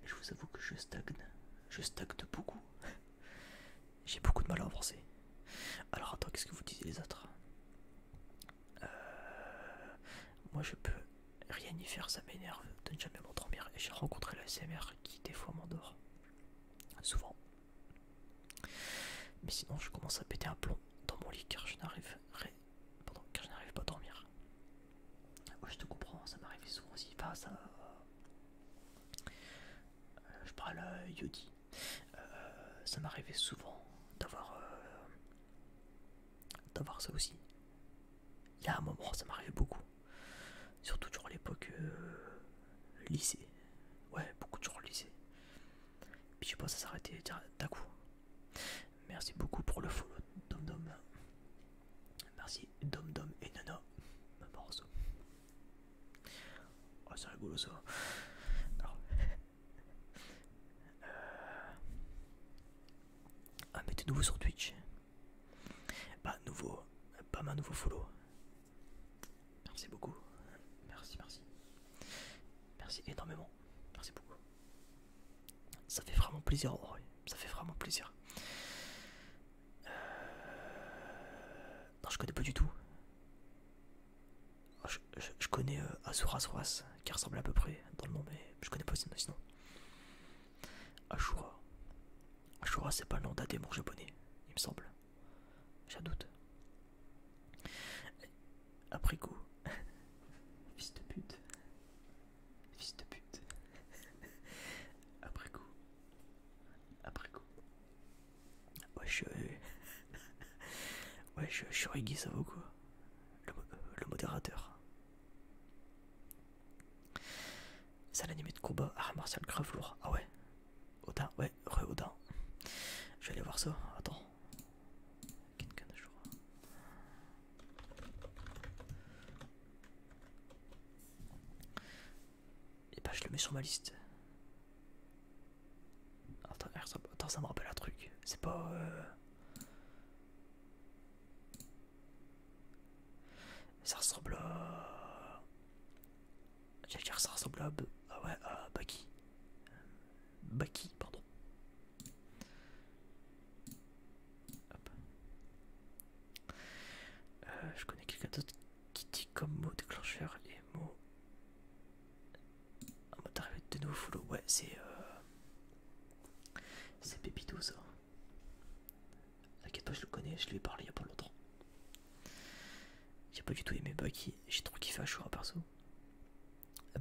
S1: Je vous avoue que je stagne. Je stagne beaucoup. J'ai beaucoup de mal à avancer. Alors attends, qu'est-ce que vous disiez les autres euh, Moi je peux rien y faire, ça m'énerve de ne jamais m'endormir. J'ai rencontré la CMR qui des fois m'endort. Souvent. Mais sinon je commence à péter un plomb dans mon lit car je rien Pardon, car je n'arrive pas à dormir. je te comprends, ça m'arrivait souvent aussi. Enfin, ça. Euh, je parle à Yodi. Euh, ça m'arrivait souvent d'avoir. Euh, d'avoir ça aussi. Il y a un moment, ça m'arrivait beaucoup. Surtout durant l'époque lycée. Ouais, beaucoup durant le lycée. Puis je sais pas, ça s'arrêtait d'un coup. Merci beaucoup pour le follow, Dom Dom. Merci, Dom Dom et Nana. Oh, c'est rigolo ça. Alors. Ah, euh. mais nouveau sur Twitch. Pas nouveau, pas ma nouveau follow. Merci beaucoup. Merci, merci. Merci énormément. Merci beaucoup. Ça fait vraiment plaisir, ça fait vraiment plaisir. Euh, non, je connais pas du tout. Je, connais euh, Asuras qui ressemble à peu près dans le nom, mais je connais pas sinon. Ashura. Ashura, c'est pas le nom d'un démon japonais, il me semble. J'en doute. Après coup. <laughs> Fils pute. Fils de pute. <laughs> Après coup. Après coup. je Wesh, <laughs> Shurigi, ça vaut quoi le, euh, modérateur. C'est l'animé de combat, art martial grave lourd. Ah ouais Odin, ouais, re Odin. Je vais aller voir ça, attends. Et bah, je le mets sur ma liste. Attends, ça me rappelle un truc. C'est pas. Euh, ça ressemble à. J'allais dire ça ressemble à. Ah ouais, à Baki. Baki, pardon. Euh, je connais quelqu'un d'autre qui dit comme mot déclencheur les mots en mode d'arrivée de nouveau Ouais, c'est. Euh... C'est Pépito ça. Hein. T'inquiète pas, je le connais, je lui ai parlé il y a pas longtemps. J'ai pas du tout aimé Bucky, j'ai trop kiffé à perso.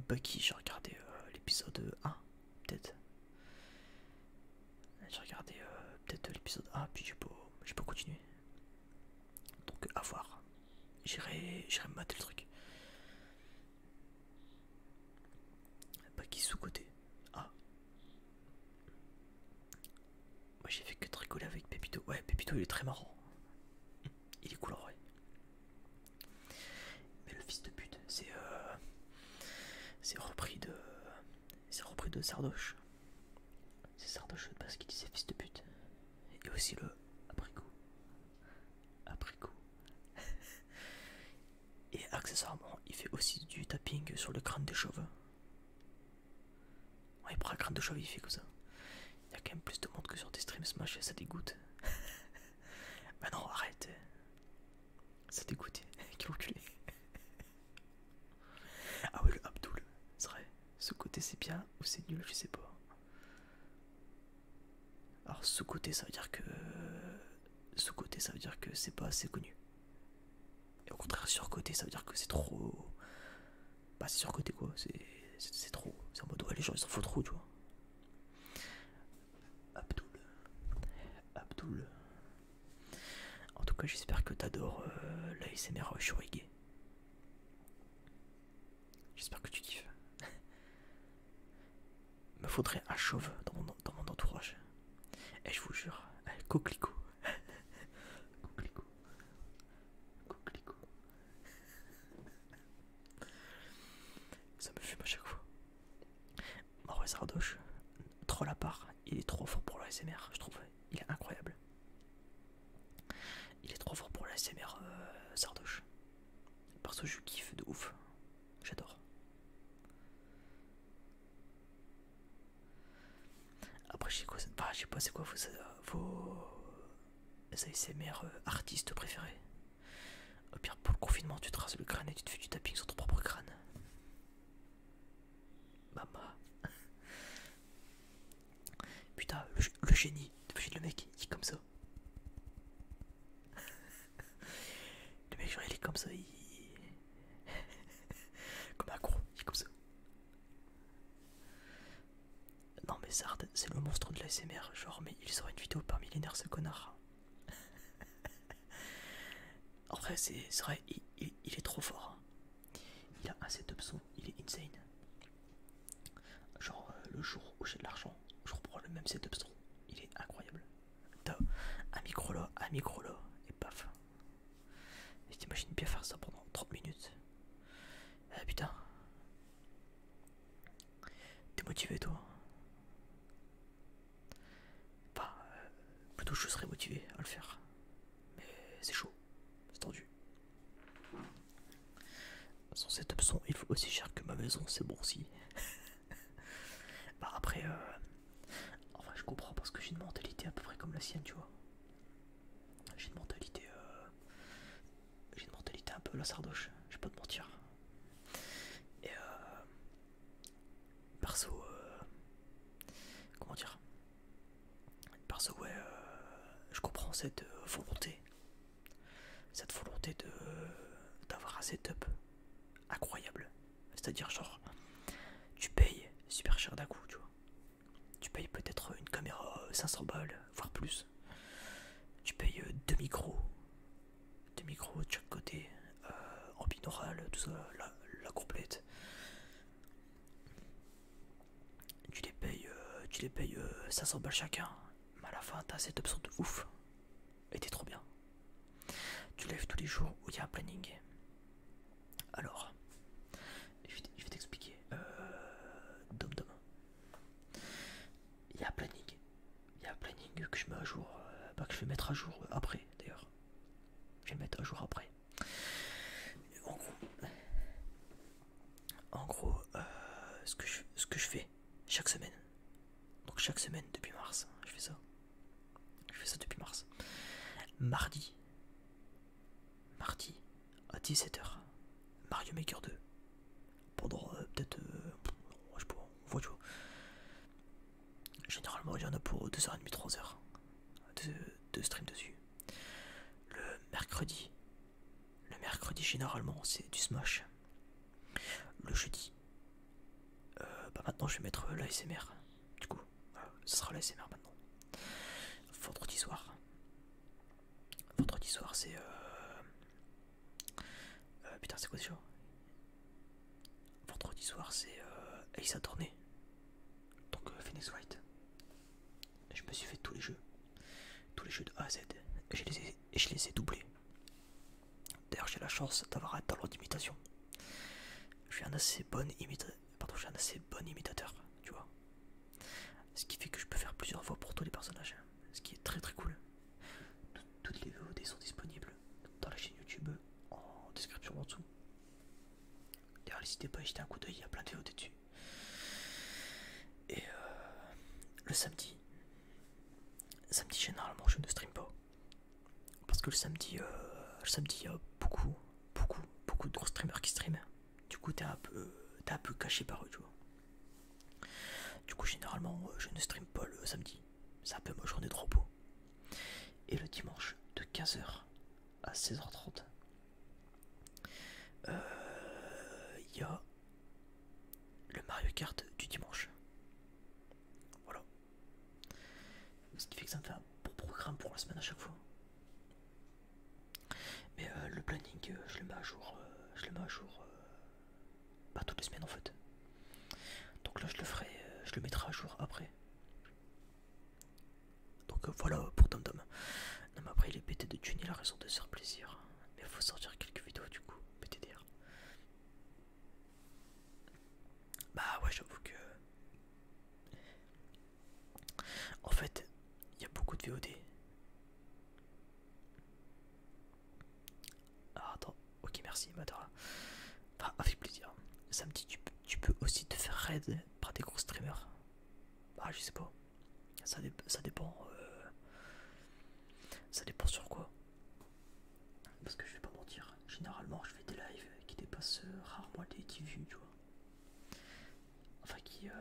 S1: Bucky, j'ai regardé euh, l'épisode 1 peut-être. J'ai regardé euh, peut-être l'épisode 1, puis j'ai pas, pas continué. Donc à voir. J'irai me mater le truc. Pas bah, qui sous-côté. Ah. Moi j'ai fait que de avec Pépito. Ouais, Pépito il est très marrant. <laughs> Il est coloré mais le fils de pute, c'est euh, c'est repris de c'est repris de Sardoche. C'est Sardoche parce qu'il disait fils de pute. Et aussi le abricot. Abricot. <laughs> Et accessoirement, il fait aussi du tapping sur le crâne des cheveux. Ouais, il prend crâne de chauve, il fait comme ça. Il y a quand même plus de monde que sur des streams Smash et ça dégoûte. <laughs> Mais non, arrête. Ça qui qui reculé. Ah oui, le Abdul, c'est vrai. Ce côté c'est bien ou c'est nul, je sais pas. Alors ce côté ça veut dire que... Ce côté ça veut dire que c'est pas assez connu. Et au contraire surcoté ça veut dire que c'est trop... Bah c'est surcoté quoi, c'est trop. C'est en mode ouais les gens ils s'en foutent trop tu vois. Abdoul. Abdoul. En tout cas, j'espère que t'adores mes euh, l'ASMR Shurigé. J'espère que tu kiffes. <laughs> Me faudrait un chauve dans mon, dans mon entourage. Et je vous jure, coquelicot. <laughs> coquelicot. Coquelicot. Ça me fume à chaque fois. Maurice ah Sardoche, troll à part, il est trop fort pour l'ASMR, je trouve. Il est incroyable. Il est trop fort pour l'ASMR euh, Sardoche. Parce que je kiffe de ouf. J'adore. Après, je sais, quoi, je sais pas c'est quoi vos, vos ASMR euh, artistes préférés. Au pire, pour le confinement, tu traces le crâne et tu te fais du tapping sur ton propre crâne. Mama. <laughs> Putain, le, le génie. de le mec, il est comme ça. <laughs> le mec, genre, il est comme ça, il. <laughs> comme un gros, il est comme ça. Non, mais Zard, c'est le monstre de la Genre, mais il sort une vidéo par nerfs, ce connard en vrai, c'est vrai, il, est trop fort. Hein. Il a un setup son, il est insane. Genre, euh, le jour où j'ai de l'argent, je reprends le même setup son. Il est incroyable. T'as un micro là, un micro là, et paf. Je bien faire ça pendant 30 minutes. Ah putain. T'es motivé toi bah... plutôt je serais motivé à le faire. Mais c'est chaud, c'est tendu. Sans cette option, il faut aussi cher que ma maison, c'est bon aussi. <laughs> bah après, euh, enfin je comprends parce que j'ai une mentalité à peu près comme la sienne, tu vois. J'ai une mentalité, euh, j'ai une mentalité un peu la sardoche, je vais pas te mentir. Et euh, parce euh, que comment dire Parce ouais, euh, je comprends cette euh, volonté, cette volonté de d'avoir un setup incroyable. C'est-à-dire genre, tu payes super cher d'un coup, tu vois. Tu payes peut-être une caméra 500 balles, voire plus. Tu payes deux micros, des micros de chaque côté, euh, en binaural, tout ça, la, complète. Tu les payes, euh, tu les payes 500 euh, balles chacun, mais à la fin t'as cette option de ouf, et t'es trop bien. Tu lèves tous les jours où il y a un planning. Alors, je vais t'expliquer. Euh, dom dom. Il y a un planning. Il y a un planning que je mets à jour, euh, bah, que je vais mettre à jour après d'ailleurs. Je vais mettre un jour après. En gros, euh, ce, que je, ce que je fais chaque semaine, donc chaque semaine depuis mars, hein, je fais ça. Je fais ça depuis mars. Mardi, mardi à 17h, Mario Maker 2. Pendant euh, peut-être, euh, je sais pas, on voit, du. Généralement, il y en a pour 2h30, 3h de, stream dessus. Le mercredi, le mercredi généralement, c'est du Smash. Le jeudi, euh, bah maintenant je vais mettre l'ASMR. Du coup, euh, ce sera l'ASMR maintenant. Vendredi soir, vendredi soir, c'est euh, putain, c'est quoi jour Vendredi soir, c'est euh, Ace Attorney. Donc euh, Phoenix White. Je me suis fait tous les jeux. Tous les jeux de A à Z. Et je les ai, je doublés. D'ailleurs, j'ai la chance d'avoir un talent d'imitation. Je suis un assez bon imitateur. je un assez bon imitateur, tu vois. Ce qui fait que je peux faire plusieurs voix pour tous les personnages. Ce qui est très très cool. Toutes les VOD sont disponibles dans la chaîne YouTube en description en dessous. D'ailleurs, n'hésitez pas à jeter un coup d'œil, il y a plein de dessus. Et euh, le samedi, samedi généralement je ne stream pas parce que le samedi, euh, le samedi il y a beaucoup, beaucoup, beaucoup de gros streamers qui stream Du coup, t'es un peu, un peu caché par eux, Du coup, généralement, euh, je ne stream pas le samedi ça peut peu ma journée de repos. Et le dimanche de 15h à 16h30, euh, il y a le Mario Kart du dimanche. Voilà. Ce qui fait que ça me fait un bon programme pour la semaine à chaque fois. Mais euh, le planning, euh, je le mets à jour, je le mets à jour pas toutes les semaines en fait. Donc là, je le ferai, je le mettrai à jour après donc euh, voilà pour Dom Dom. Non mais après il est pété de tuner la raison de se faire plaisir. Mais il faut sortir quelques vidéos du coup, dire Bah ouais j'avoue que... En fait, il y a beaucoup de VOD. Ah attends, Ok, merci, Matara. Enfin, avec plaisir. Samedi, tu, peux aussi te faire raid par des gros streamers. Ah, je sais pas. Ça, dépend. Euh, ça dépend sur quoi. Parce que je vais pas mentir. Généralement, je fais des lives qui dépassent euh, rarement les 10 vues, tu vois. Enfin, qui. Euh,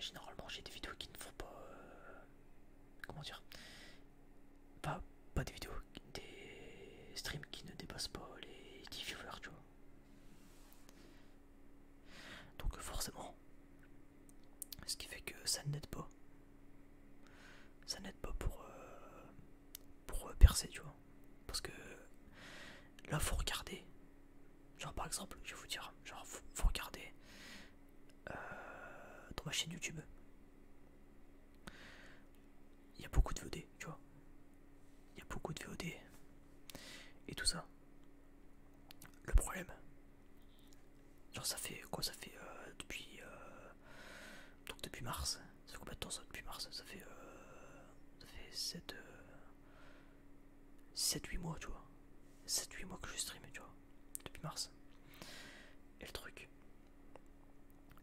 S1: généralement, j'ai des vidéos qui ne font pas. comment dire pas, pas des vidéos, des streams qui ne dépassent pas les 10 viewers, tu vois. Donc forcément, ce qui fait que ça n'aide pas. Ça n'aide pas pour, euh, pour euh, percer, tu vois. Parce que là, faut regarder. Genre par exemple, je vais vous dire, genre faut, regarder euh, dans ma chaîne YouTube, il y a beaucoup de VOD, tu vois. Il y a beaucoup de VOD. Et tout ça. Le problème. Genre ça fait quoi Ça fait euh, depuis... Euh, donc depuis mars. Ça fait combien de temps ça Depuis mars. Ça fait... Euh, ça fait 7... 7-8 mois, tu vois. 7-8 mois que je stream, tu vois. Depuis mars. Et le truc,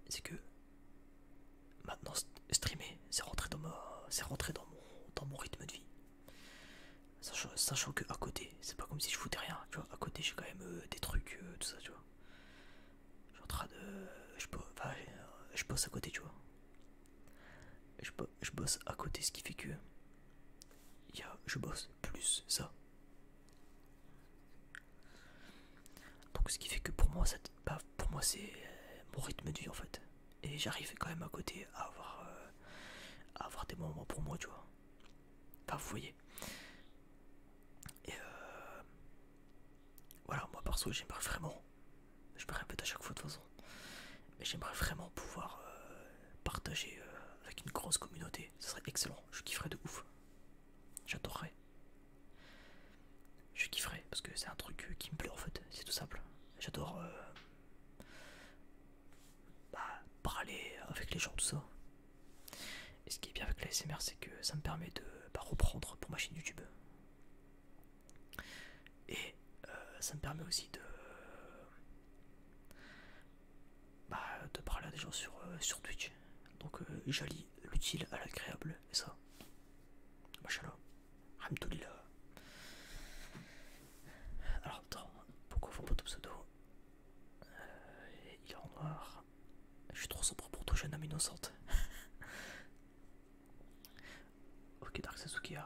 S1: c'est que maintenant streamer, c'est rentré dans c'est rentré dans mon, dans mon rythme de vie. Sachant, que à côté, c'est pas comme si je foutais rien, tu vois. À côté, j'ai quand même euh, des trucs, euh, tout ça, tu vois. Je suis en train de, je euh, bosse, à côté, tu vois. Je, bosse à côté, ce qui fait que, y je bosse plus ça donc ce qui fait que pour moi, bah, pour moi c'est euh, mon rythme de vie en fait. Et j'arrive quand même à côté à avoir, euh, des moments pour moi, tu vois. Enfin, vous voyez. Et euh, voilà, moi perso, j'aimerais vraiment, je me répète à chaque fois de façon, mais j'aimerais vraiment pouvoir partager avec une grosse communauté. Ce serait excellent, je kifferais de ouf. J'adorerais. Je kifferais parce que c'est un truc euh, qui me plaît en fait, c'est tout simple. J'adore euh, bah, parler avec les gens, tout ça. Et ce qui est bien avec la SMR, c'est que ça me permet de bah, reprendre pour ma chaîne YouTube. Et euh, ça me permet aussi de, bah, de parler à des gens sur, euh, Twitch. Donc euh, l'utile à l'agréable, et ça. Machalo. Hamdoulillah. Alors attends, pourquoi faut pas ton pseudo euh, Il est en noir. Je suis trop sombre pour toi, jeune âme innocente. <laughs> ok, Dark Sasuke.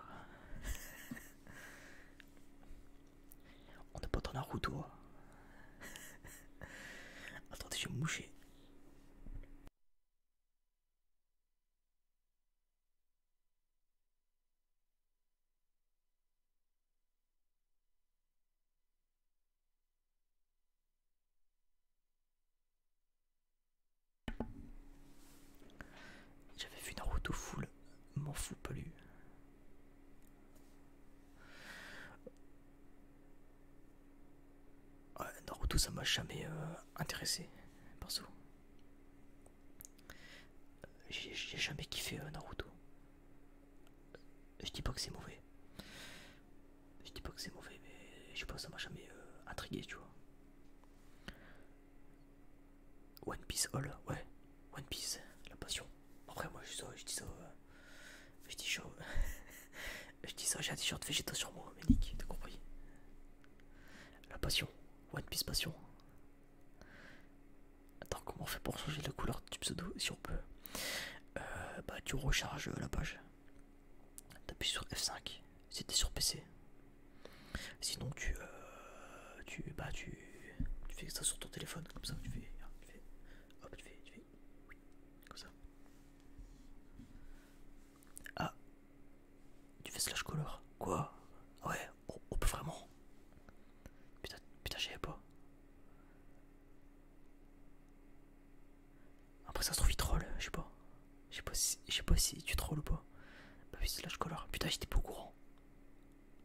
S1: On peut pas dans Naruto. <laughs> Attendez, je vais me moucher. J'avais vu Naruto foule, m'en fous pas lui. Ouais, Naruto, ça m'a jamais euh, intéressé, perso. J'ai jamais kiffé euh, Naruto. Je dis pas que c'est mauvais. Je dis pas que c'est mauvais, mais je sais pas, ça m'a jamais euh, intrigué, tu vois. One Piece All, oh ouais. One Piece, la passion. Après, moi je dis ça, je dis ça. Euh, <laughs> je dis ça, j'ai un t-shirt végétal sur moi, mais nique, t'as compris. La passion, One Piece Passion. Attends, comment on fait pour changer la couleur du pseudo si on peut euh, Bah, tu recharges euh, la page. T'appuies sur F5 c'était sur PC. Sinon, tu, tu, bah, tu, fais ça sur ton téléphone, comme ça, hop, tu fais ça. Ah Tu fais slash color Quoi Ouais, on, peut vraiment. Putain, putain avais pas. Après ça se trouve il troll, je sais pas. Je sais pas, si, pas si tu trolls ou pas. Bah slash color. Putain j'étais pas au courant.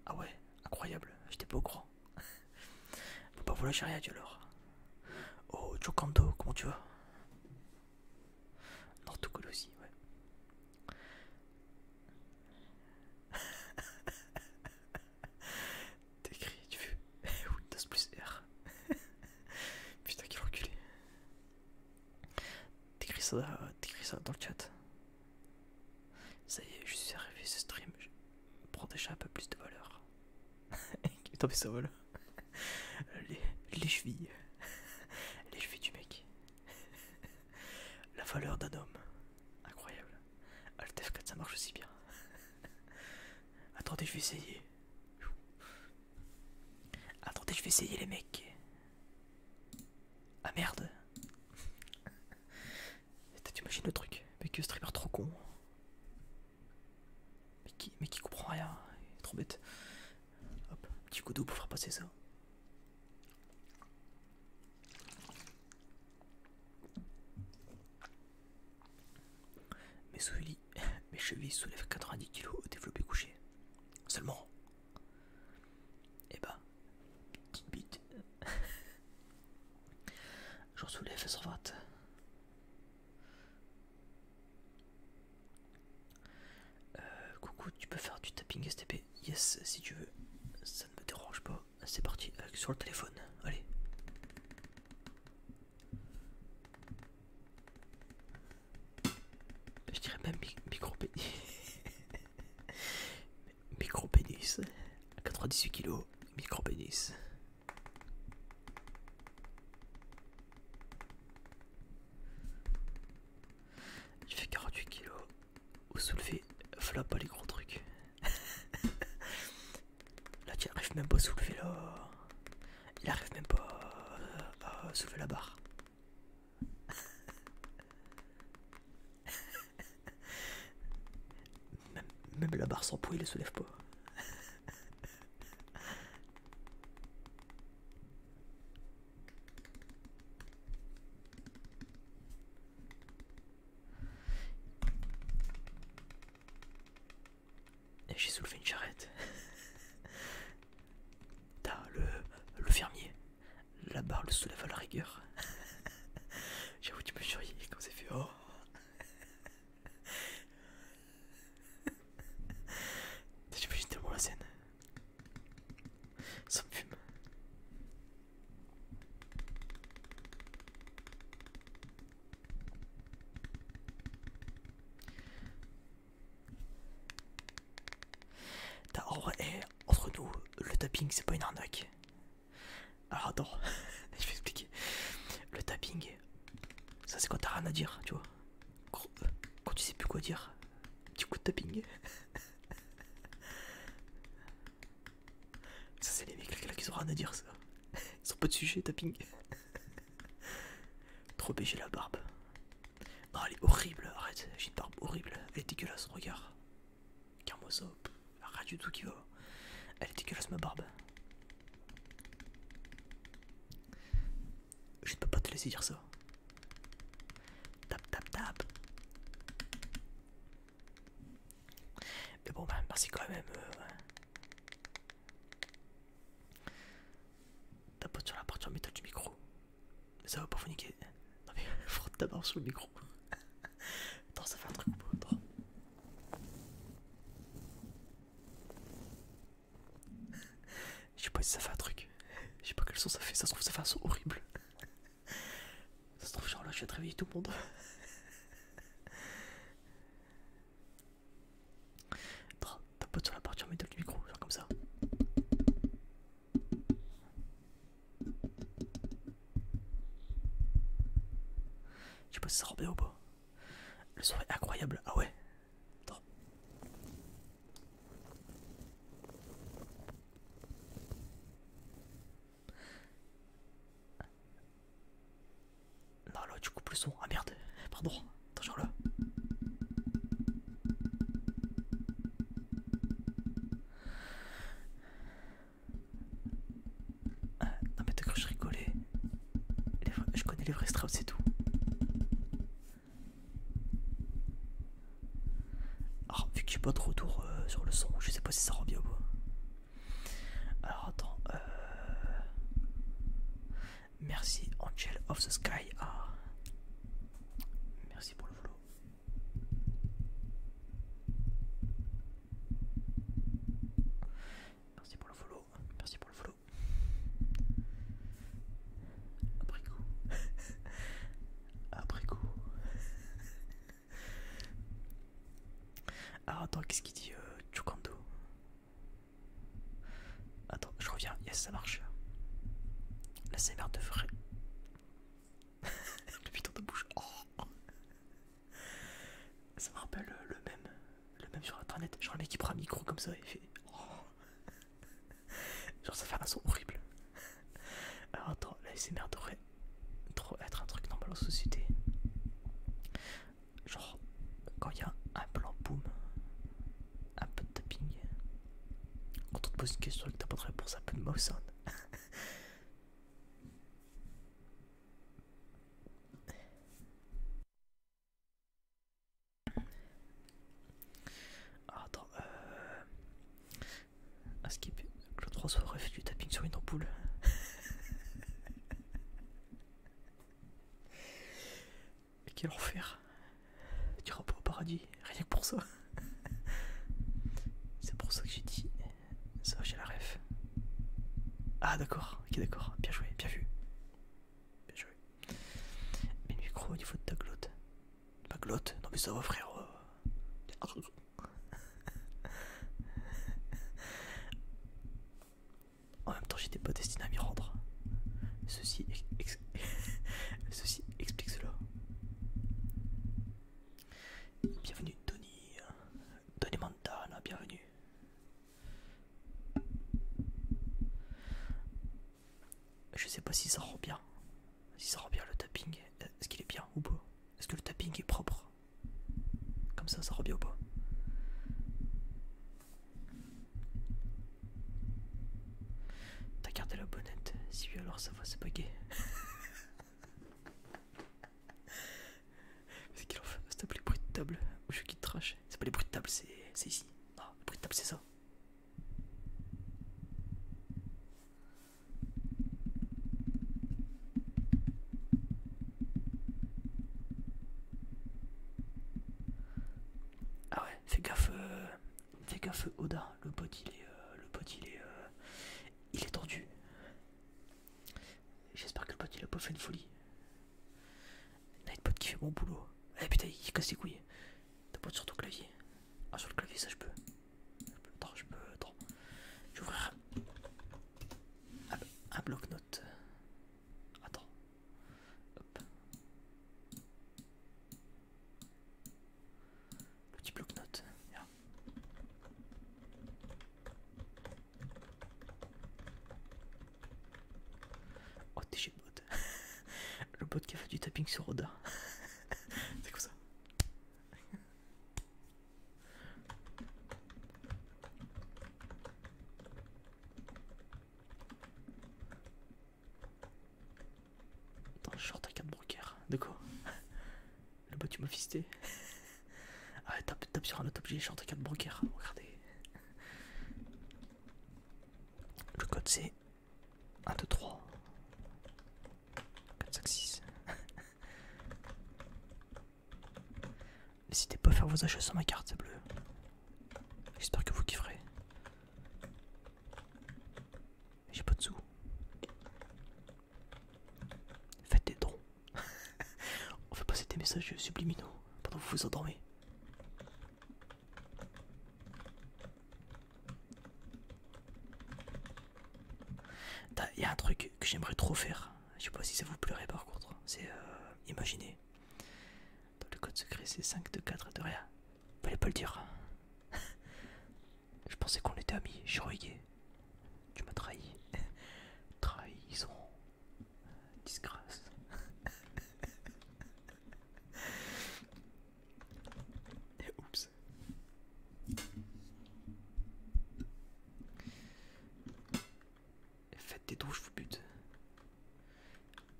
S1: Ah ouais, incroyable, j'étais pas au courant. Bon bah voilà, j'ai rien dit alors. Oh, Jokando, comment tu vas Nortocol aussi, ouais. <laughs> T'écris, tu veux <laughs> Windows plus R. <laughs> Putain, qu'il reculer. T'écris ça, ça dans le chat. Ça y est, je suis arrivé ce stream. prends déjà un peu plus de valeur. Tant pis ça tombé Les, chevilles. Les chevilles du mec. La valeur d'un homme. Incroyable. Alter 4 ça marche aussi bien. Attendez, je vais essayer. Attendez, je vais essayer les mecs. Ah merde. Eh, T'imagines le truc Mais que streamer trop con. Mais qui, comprend rien, trop bête. Hop, petit coup d'eau pour faire passer ça. Mes souliers, <laughs> mes chevilles soulèvent 90 kg au développé couché. Seulement. Et eh bah, ben, petite bite. <laughs> Je soulève sans droite. Euh, coucou, tu peux faire du tapping STP Yes, si tu veux. Ça ne me dérange pas. C'est parti, sur le téléphone. Allez. Je dirais même micro pénis. <laughs> micro pénis. 98 kg. Micro pénis. Il fait 48 kilos. Au soulever voilà pas les gros trucs. <laughs> là, il arrive même pas à soulever là. Il arrive même pas à soulever la barre. <laughs> Même, la barre sans poids, il ne se lève pas. J'ai soulevé une charrette. le, fermier. La barre le soulève à la rigueur. J'avoue, tu peux churilles quand c'est fait. Oh. <laughs> J'ai juste tellement la scène. Ça me fume. ordre et eh, entre nous, le tapping c'est pas une arnaque. Alors attends, <laughs> je vais expliquer. Le tapping, ça c'est quand t'as rien à dire, tu vois. Quand tu sais plus quoi dire, petit coup de tapping. <laughs> Ça c'est les mecs là qui ont rien à dire ça. <laughs> Ils ont pas de sujet, tapping. Trop bêché la barbe. Non, elle est horrible, arrête, j'ai une barbe horrible, elle est dégueulasse, regarde. Regarde-moi Rien du tout qui va. Elle est dégueulasse ma barbe. Je ne peux pas te laisser dire ça. Tap tap tap. Mais bon, bah, merci quand même. Euh, T'as pas sur la partie en métal du micro. Mais ça va pas vous niquer. Non mais <laughs> frotte ta barbe sur le micro. <laughs> Attends, ça fait un truc beau, je sais pas si ça fait un truc. Je sais pas quel son ça fait. Ça se trouve, ça fait un son horrible. Ça se trouve, genre là, je vais réveiller tout le monde. T'as pas sur la partie en du micro, genre comme ça. Je sais pas si ça rend bien ou pas. Le son est incroyable. Ah ouais Attends. Non là tu coupes le son. Ah merde. Pardon. Toujours là. Ah, non mais que je rigolais. je connais les vrais Strauss, c'est tout. Alors, vu que j'ai pas de retour euh, sur le son, je sais pas si ça rend bien ou pas. Alors, attends. Euh, merci, Angel of the Sky. Ah. Merci pour le merci Merci pour le follow. Merci pour le follow. Après coup. <laughs> Après coup. Ah, attends, qu'est-ce qu'il dit euh, Chukando Attends, je reviens. Yes, ça marche. La sévère de frais. Le piton de bouche. Oh. Ça me rappelle le même, le même sur internet. Genre le mec qui prend un micro comme ça et fait. Oh. Genre ça fait un son horrible. Alors attends, la SMR devrait trop être un truc normal en société. Genre quand il y a un plan boom, un peu de tapping, quand on te pose une question et que t'as pas de réponse, un peu de mouse sound. Ah, attends, euh. À skip, Claude François aurait ref du tapping sur une ampoule. <laughs> Quel enfer! Tu iras pas au paradis, rien que pour ça! <laughs> C'est pour ça que j'ai dit. Ça, j'ai la ref. Ah, d'accord ok d'accord, bien joué, bien vu. Bien joué. Mais le micro au niveau de ta glotte. Ma glotte Non mais ça va frère en même temps j'étais pas destiné à m'y rendre. Ceci, <laughs> Ceci explique cela. Bienvenue Tony. Tony Montana, bienvenue. Je sais pas si ça rend bien. Si ça rend bien le tapping, est-ce qu'il est bien ou pas Est-ce que le tapping est propre Comme ça, ça rend bien ou pas T'as gardé la bonnette Si oui, alors ça va, se baguer <laughs> Mais qu'il en fait C'est pas les bruits de table ou je quitte trash. C'est pas les bruits de table, c'est ici. Non, les bruits de table, c'est ça. Ah ouais, fais gaffe, euh, fais gaffe Oda, le pote il est, euh, le il est, euh, il est tendu, J'espère que le pote il a pas fait une folie. Nightbot qui fait mon boulot. Eh putain, il casse les couilles. T'as pas sur ton clavier. Ah, sur le clavier, ça je peux. attends, je peux. Attends. Je ouvrir un, bloc note Attends. petit bloc-notes. Oh t'es chez le bot <laughs> Le bot qui a fait du tapping sur Oda <laughs> C'est quoi ça Dans le short à 4 broker De quoi <laughs> Le bot tu m'as fisté ah, tape, tape sur un autre objet, je suis en carte Regardez. Le code c'est 1, 2, 3, 4, 5, 6. N'hésitez pas à faire vos achats sur ma carte, c'est bleu. J'espère que vous kifferez. J'ai pas de sous. Faites des dons. On fait passer des messages subliminaux pendant que vous vous endormez. Il y a un truc que j'aimerais trop faire. Je sais pas si ça vous plairait par contre. C'est euh, imaginer. Dans le code secret, c'est 5 2, 4 de rien. vous allez pas le dire. <laughs> Je pensais qu'on était amis. Je suis Tu m'as trahi. <laughs> Trahison. Disgrâce. Et <laughs> oups. Faites des douches, je vous bute.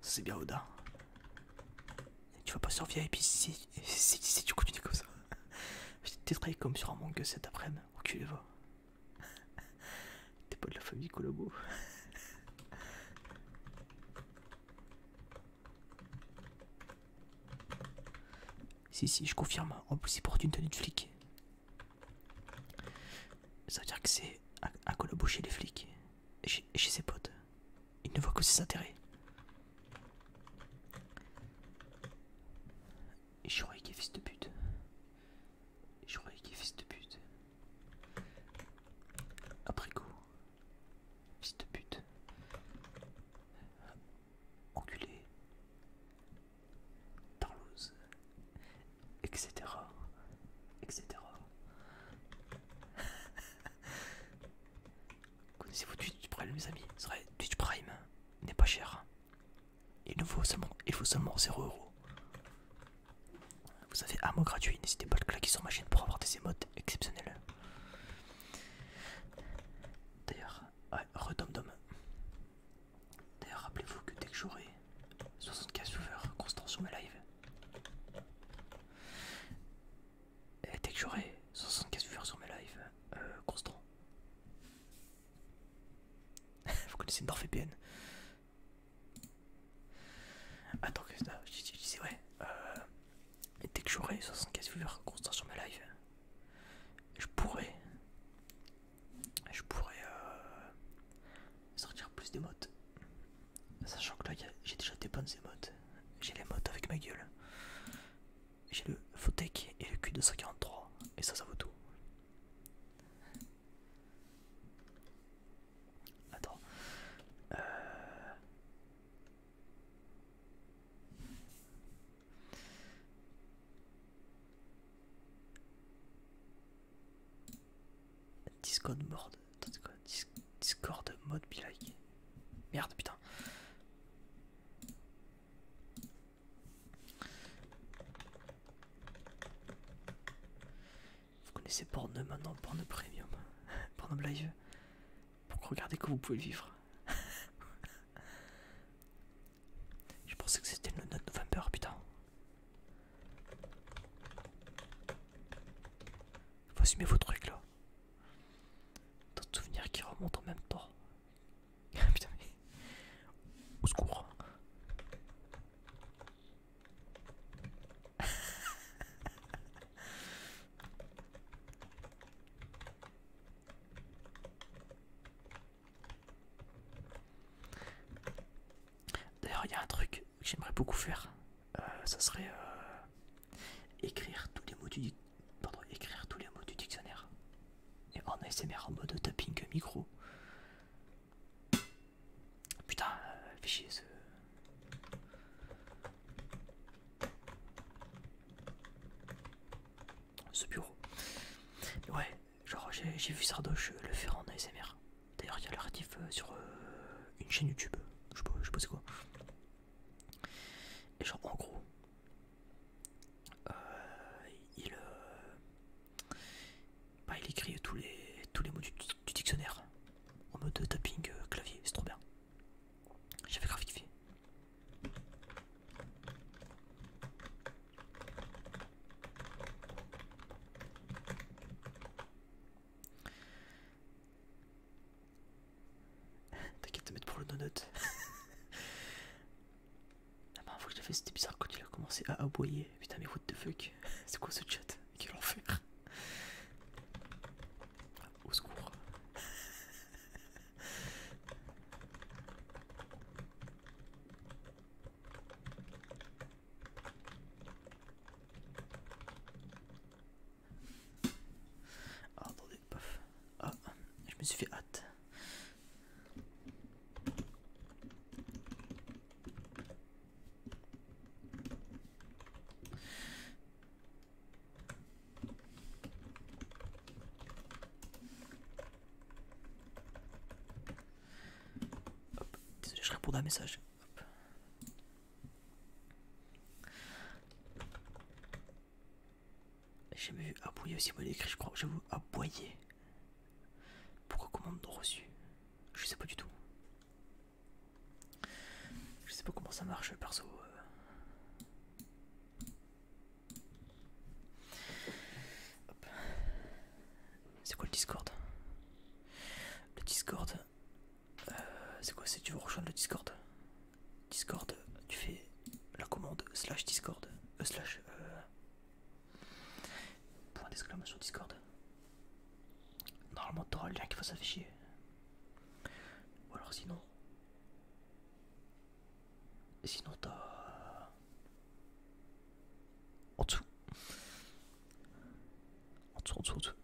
S1: C'est bien Oda. tu vas pas survivre et puis si, tu continues comme ça. <laughs> Je vais te comme sur un manga cet après-midi. Enculé va. T'es pas de la famille Colobo Si, si, je confirme. En plus, il porte une tenue de flic. Ça veut dire que c'est un, Colobo chez les flics chez, ses potes. Il ne voit que ses intérêts. J'aurais qui est fils de pute. Je croyais qu'il est fils de pute. Après coup, fils de pute. Enculé. tarloze, Etc. Etc. <laughs> Connaissez-vous Twitch Prime, mes amis C'est vrai, Twitch Prime n'est pas cher. Il nous faut seulement, il faut seulement Vous avez un mot gratuit, n'hésitez pas à le claquer sur ma chaîne pour avoir des émotes exceptionnelles. D'ailleurs, ouais, redom-dom D'ailleurs, rappelez-vous que dès que j'aurai 75 viewers constants sur mes lives, dès que j'aurai 75 viewers sur mes lives euh, constants, <laughs> vous connaissez NordVPN Attends que je, disais ouais, euh, dès que j'aurai 75 viewers constants sur ma live, je pourrais, je pourrais euh, sortir plus modes. Sachant que là j'ai déjà des bonnes modes j'ai les modes avec ma gueule, j'ai le Fotec et le Q243, et ça, ça vaut tout. Attends. Euh, Discord mode. Discord mode Merde putain. Vous connaissez Porno maintenant, Porno Premium, <laughs> Porno live pour regarder que vous pouvez vivre. <laughs> Je pensais que c'était le 9 novembre, putain. Faut assumer vos trucs là. Tant de souvenirs qui remontent en même temps. <laughs> putain, Au secours. <laughs> D'ailleurs, il y a un truc que j'aimerais beaucoup faire. Euh, ça serait euh, écrire tous les mots du écrire tous les mots du dictionnaire. Et en ASMR en mode tapping micro. Putain, euh, fichier ce. Ce bureau. Ouais, genre j'ai vu Sardoche euh, le faire en ASMR. D'ailleurs, il y a l'artif euh, sur une chaîne YouTube. Je sais pas, c'est quoi. Et genre, en gros, il, bah, il écrit tous les, tous les mots du, dictionnaire en mode tapping euh, clavier, c'est trop bien. J'avais graphifié. <laughs> T'inquiète de mettre pour le donut. ah bah, fois que je fait, c'était bizarre quand il a commencé à aboyer. Putain, mais what the fuck <laughs> C'est quoi ce chat Quel enfer ah, <laughs> Au secours Ah, attendez, paf. Ah, je me suis fait hâte je réponds à un message. J'ai vu aboyer aussi mal écrit, je crois. vous aboyer. Pourquoi commande reçu Je sais pas du tout. Je sais pas comment ça marche perso. Euh. C'est quoi le Discord Le Discord euh, C'est quoi C'est tu veux rejoindre le Discord Discord, tu fais la commande slash Discord, euh, Point d'exclamation Discord. Normalement, t'auras le lien qui va s'afficher. Ou alors, sinon. Sinon, t'as. En dessous. En dessous, en dessous, en dessous.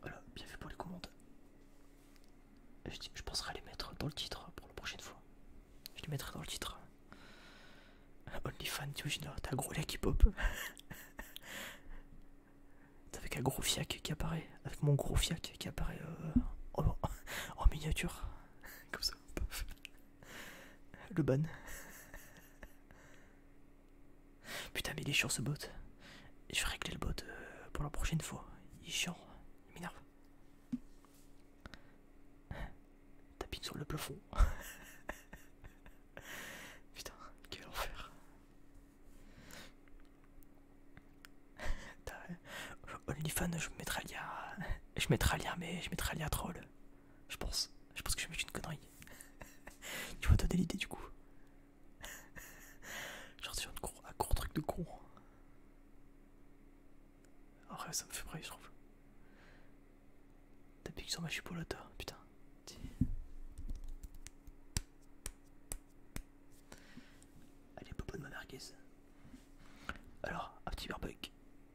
S1: Voilà, bien fait pour les commandes. Je, je penserai à les mettre dans le titre pour la prochaine fois. Je les mettrai dans le titre. OnlyFans, t'imagines, t'as un gros lac qui pop. <laughs> avec un gros fiac qui apparaît, avec mon gros fiac qui apparaît euh, en, miniature. <laughs> Comme ça, paf. Le ban. <laughs> Putain, mais il est chiant ce bot. Je vais régler le bot euh, pour la prochaine fois. Il est chiant, il m'énerve. Tapis <laughs> sur le plafond. <laughs> Putain, quel enfer. Euh, OnlyFans, je mettrai lien <laughs> Je mettrai lien, mais je mettrai lien troll. Je pense. Je pense que je mettre une connerie. tu m'as donné l'idée du coup. Genre c'est un court truc de con. En vrai, ça me fait près je trouve. piqué sur ma chipolata, putain. Allez, popo de ma merguez. Alors, un petit barbecue. <laughs>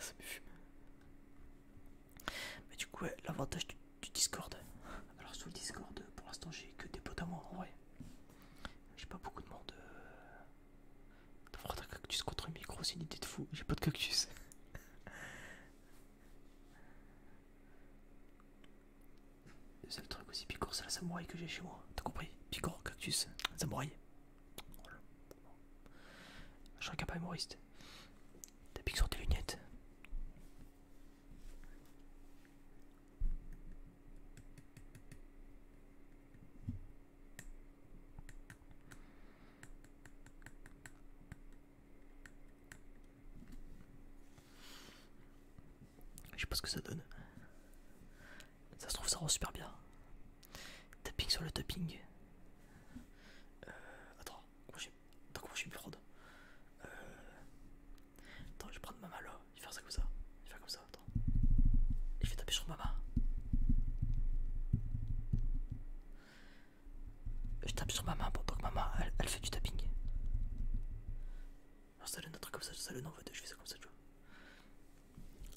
S1: ça me fume. Mais du coup, l'avantage du, Discord. Alors, sous le Discord, pour l'instant, j'ai que des potes à moi en vrai. J'ai pas beaucoup de monde. Euh... D'avoir un cactus contre un micro, c'est une idée de fou. J'ai pas de cactus. <laughs> Le seul truc aussi picor, c'est la samouraï que j'ai chez moi. T'as compris Picor, cactus, samouraï. Je suis un capa humoriste. T'as piqué sur tes lunettes. Je sais pas ce que ça donne. Ça se trouve, ça rend super bien. Tapping sur le tapping. Euh, attends, comment je suis plus prendre euh, Attends, je vais prendre ma main là. Il va faire ça comme ça. je vais faire comme ça. Attends. Et je vais taper sur ma main. Je tape sur ma main pendant que maman, elle, fait du tapping. Non ça donne un truc comme ça, ça donne en je fais ça comme ça, tu vois.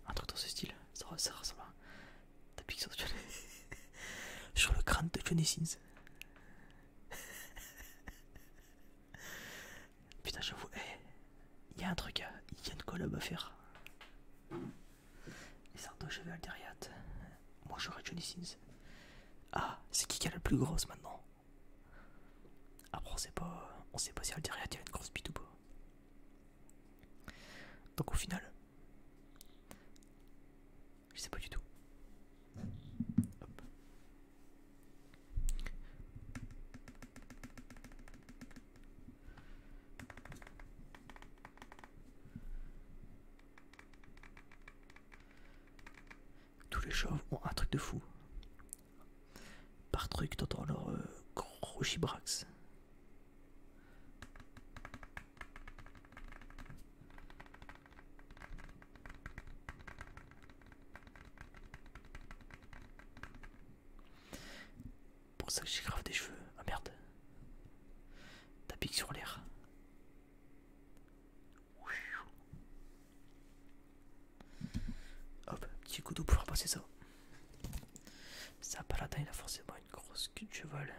S1: Un truc dans ce style, ça, ça ressemble à tapping sur, Johnny... <laughs> sur le crâne de Johnny Sins. <laughs> Putain, j'avoue, eh, il y a un truc, euh, il y a une collab à faire. Les je j'avais Alderiat. Moi j'aurais Johnny Sins. Ah, c'est qui qui a la plus grosse maintenant Après, on sait pas, on sait pas si Alderiat il a une grosse bite ou pas. Donc au final, je sais pas du tout. Hop. Tous les chauves ont un truc de fou. Par truc, d'entendre leur euh, gros pour ça que j'ai grave des cheveux. Ah merde. pique sur l'air. Hop, petit coup pour faire passer ça. Ça paladin il a forcément une grosse queue de cheval.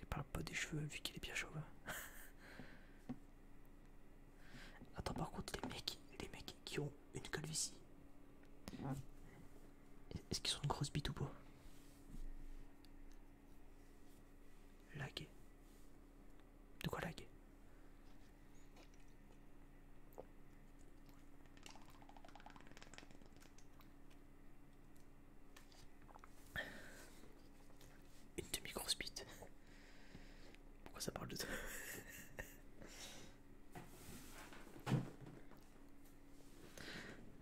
S1: Il parle pas des cheveux vu qu'il est bien chauve. Attends, par contre, les mecs, les mecs qui ont une ici, est-ce qu'ils ont une grosse bite ou pas Laguer. De quoi laguer Une demi-grosse bite. Pourquoi ça parle de ça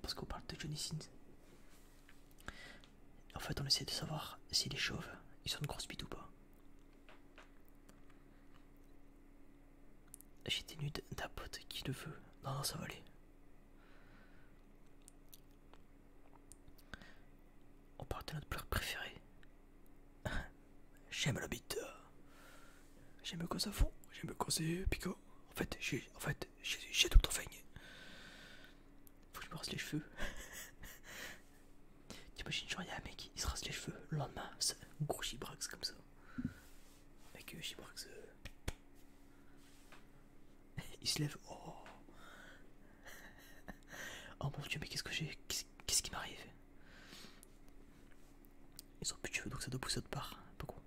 S1: Parce qu'on parle de Johnny Sins. En fait, on essaie de savoir si les chauves, ils sont de grosse bite ou pas. J'étais nude d'un pote qui le veut. Non, non, ça va aller on parle de notre pleure préféré. J'aime la bite. J'aime quand ça fond, j'aime quand c'est pico En fait, j'ai en fait, j'ai tout le Faut que je me rase les cheveux. <laughs> T'imagines, genre, y'a un mec, il se rase les cheveux, le lendemain, c'est un gros chibrax comme ça. Mec, chibrax euh, euh. <laughs> il se lève, oh, oh mon dieu, mais qu'est-ce que j'ai. Qu'est-ce qui m'arrive Ils ont plus de cheveux donc ça doit pousser de part. Beaucoup.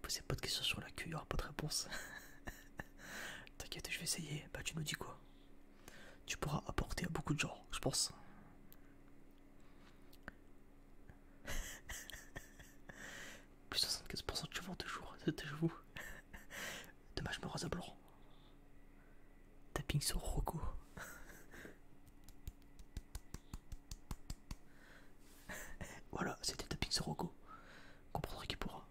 S1: Posez pas de questions sur la queue, il aura pas de réponse. <laughs> T'inquiète, je vais essayer. Bah, tu nous dis quoi Tu pourras apporter à beaucoup de gens, je pense. <laughs> Plus 75% de cheveux en deux jours, c'est vous. Dommage, me rase à blanc. Tapping sur Rocco. <laughs> voilà, c'était tapping sur Rogo. Comprendra qui pourra.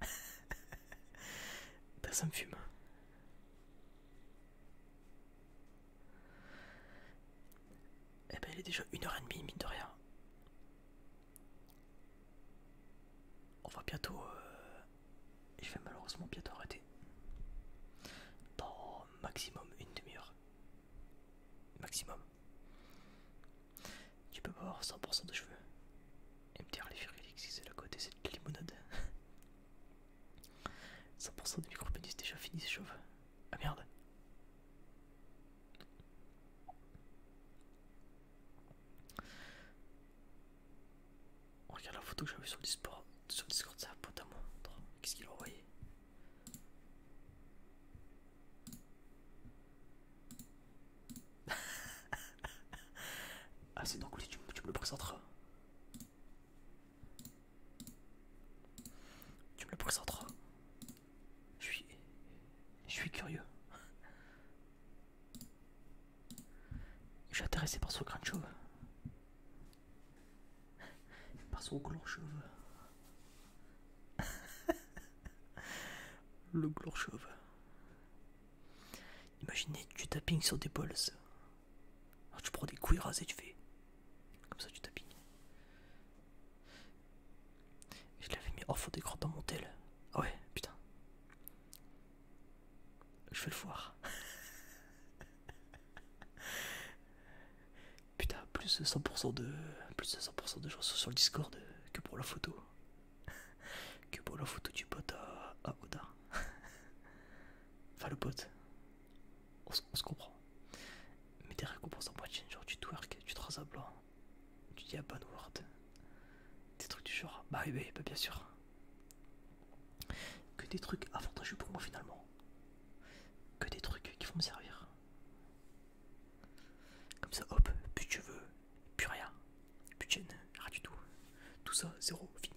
S1: <laughs> ça me fume. Eh ben, il est déjà une heure et demie, mine de rien. On va bientôt. je euh, vais malheureusement bientôt arrêter. Dans maximum une demi-heure. Maximum. Tu peux pas 100% de cheveux. MTR les qui c'est la côté, c'est de limonade. 100% <laughs> de micro-pénis déjà fini, c'est chauve. Ah merde regarde la photo que j'avais sur le Discord, sur le Discord, ça pote à montre. Qu'est-ce qu'il a envoyé <laughs> Ah c'est donc oui, tu, me le présenteras. Tu me le présenteras. Je suis, je suis curieux. Je suis intéressé par son de chauve. Par son gland chauve. <laughs> Le gland chauve. Imaginez tu tapines sur des bols, ah, tu prends des couilles rasées, tu fais. Comme ça, tu tapines. Je l'avais mis des d'écran dans mon tel. Ah ouais, putain. Je vais le voir. Putain, plus de 100% de, plus de, 100 de gens sont sur le Discord que pour la photo. Que pour la photo du pote à, Oda. Enfin, le pote. On, se comprend. Mais tes récompenses en boîte, genre tu twerk, tu traces à blanc, tu dis bonne word Des trucs du genre. Bah oui, bah, bien sûr. Que des trucs avantageux pour moi finalement. Que des trucs qui vont me servir. Comme ça, hop, plus tu veux, plus rien. Plus de chaîne, rien du tout. Tout ça, zéro, fini.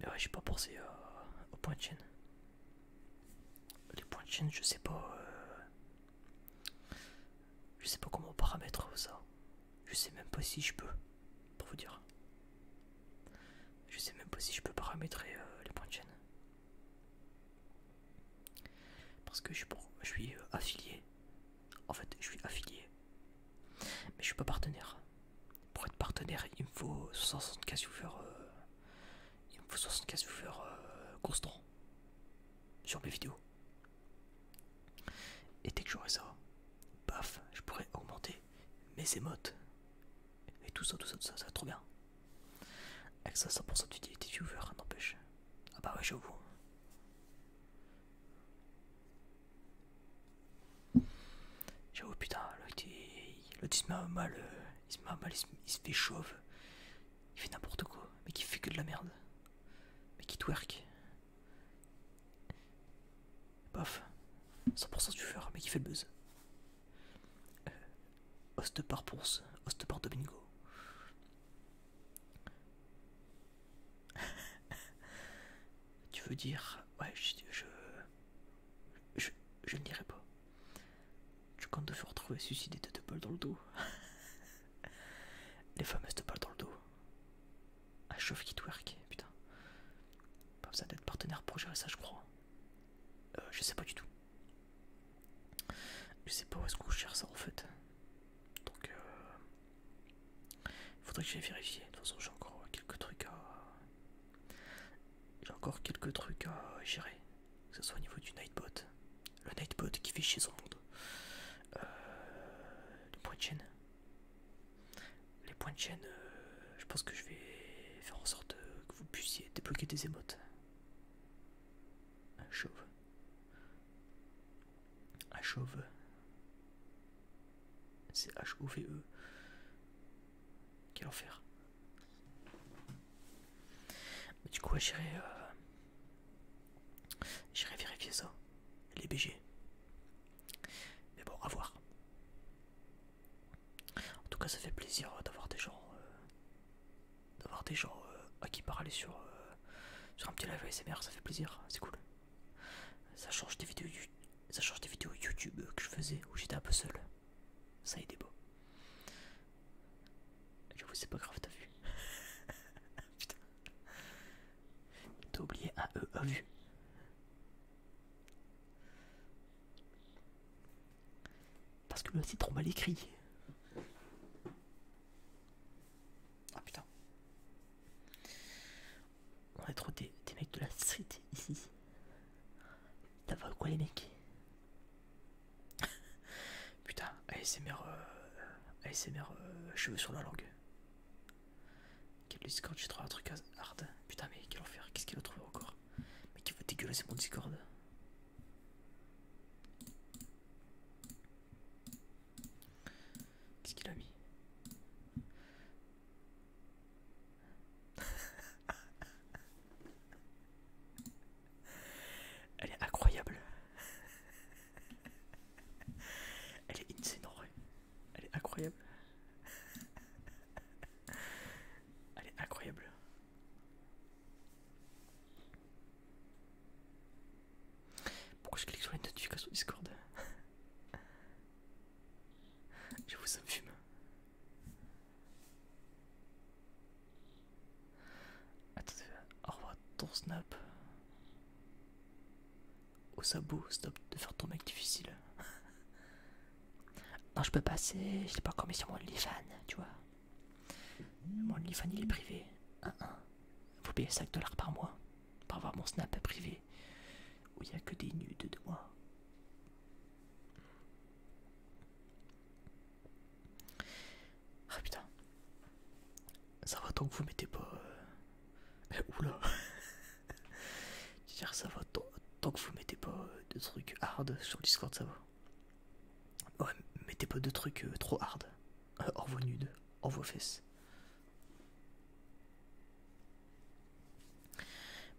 S1: Mais ouais, j'ai pas pensé euh, aux points de chaîne. Les points de chaîne, je sais pas. Euh, je sais pas comment paramètre ça. Je sais même pas si je peux, pour vous dire. Je sais même pas si je peux paramétrer euh, les points de chaîne. Parce que je suis, je suis euh, affilié. En fait, je suis affilié. Mais je suis pas partenaire. Pour être partenaire, il me faut 75 casse euh, il me faut 75 casse constants sur mes vidéos. Et dès que j'aurai ça, paf, je pourrais augmenter mes émotes. Et tout ça, tout ça, tout ça, ça va trop bien. Avec ça, 100% d'utilité viewer, n'empêche. Ah bah ouais, j'avoue. J'avoue, putain, l'autre il, se met euh, mal, il se met mal, il se fait chauve. Il fait n'importe quoi, mais qui fait que de la merde. Mais qui twerk. Paf. 100% fer mais qui fait le buzz. Euh, host par ponce, host par domingo. <laughs> tu veux dire. Ouais, je. Je, je, je ne dirai pas. Je compte faire retrouver suicidé de deux balles dans le dos. <laughs> Les fameuses deux balles dans le dos. Un chauffe qui twerk, putain. Pas besoin d'être partenaire pour gérer ça, je crois. Euh, je sais pas du tout. Je sais pas où est-ce que je cherche ça en fait. Donc, euh, faudrait que j'aille vérifier. De toute façon, j'ai encore quelques trucs à. J'ai encore quelques trucs à gérer que ce soit au niveau du Nightbot, le Nightbot qui fait chier son monde, euh, le point de chaîne. Les points de chaîne, euh, je pense que je vais faire en sorte euh, que vous puissiez débloquer des émotes. Un chauve. Un chauve. C'est H-O-V-E. Quel enfer. du coup, j'irai J'irai vérifier ça. Les BG. Mais bon, à voir. En tout cas, ça fait plaisir euh, d'avoir des gens, euh, d'avoir des gens euh, à qui parler sur, sur un petit live S.M.R. Ça fait plaisir, c'est cool. Ça change des vidéos, ça change des vidéos YouTube que je faisais où j'étais un peu seul. Ça été beau. Je J'avoue, c'est pas grave, t'as vu. <laughs> Putain. T'as oublié à E a vu. Parce que le c'est trop mal écrit. Ah putain. On est trop des, des mecs de la street ici. T'as vu quoi les mecs <laughs> Putain, ASMR, euh, ASMR euh, cheveux sur la langue. Quel Discord, j'ai trouvé un truc hard. Putain, mais quel enfer, qu'est-ce qu'il a trouvé encore Mais qui veut dégueulasser mon Discord Qu'est-ce qu'il a mis <laughs> <laughs> Elle est incroyable. <laughs> Elle est insane Elle est incroyable. <laughs> Elle est incroyable. Pourquoi je clique sur une notification Discord Je vous infume fume. Attends, au revoir ton snap. ça stop de faire ton mec difficile. <laughs> non, je peux passer, je l'ai pas encore mis sur mon OnlyFans, tu vois. Mon OnlyFans il est privé. 1-1. Vous payez 5 dollars par mois pour avoir mon snap privé où il y a que des nudes de moi. Ah putain. Ça va tant que vous mettez pas. Euh, <laughs> oula. dire, ça va tant, que vous mettez pas euh, de trucs hard sur Discord, ça va. Ouais, mettez pas de trucs euh, trop hard. en hors vos nudes, hors vos fesses.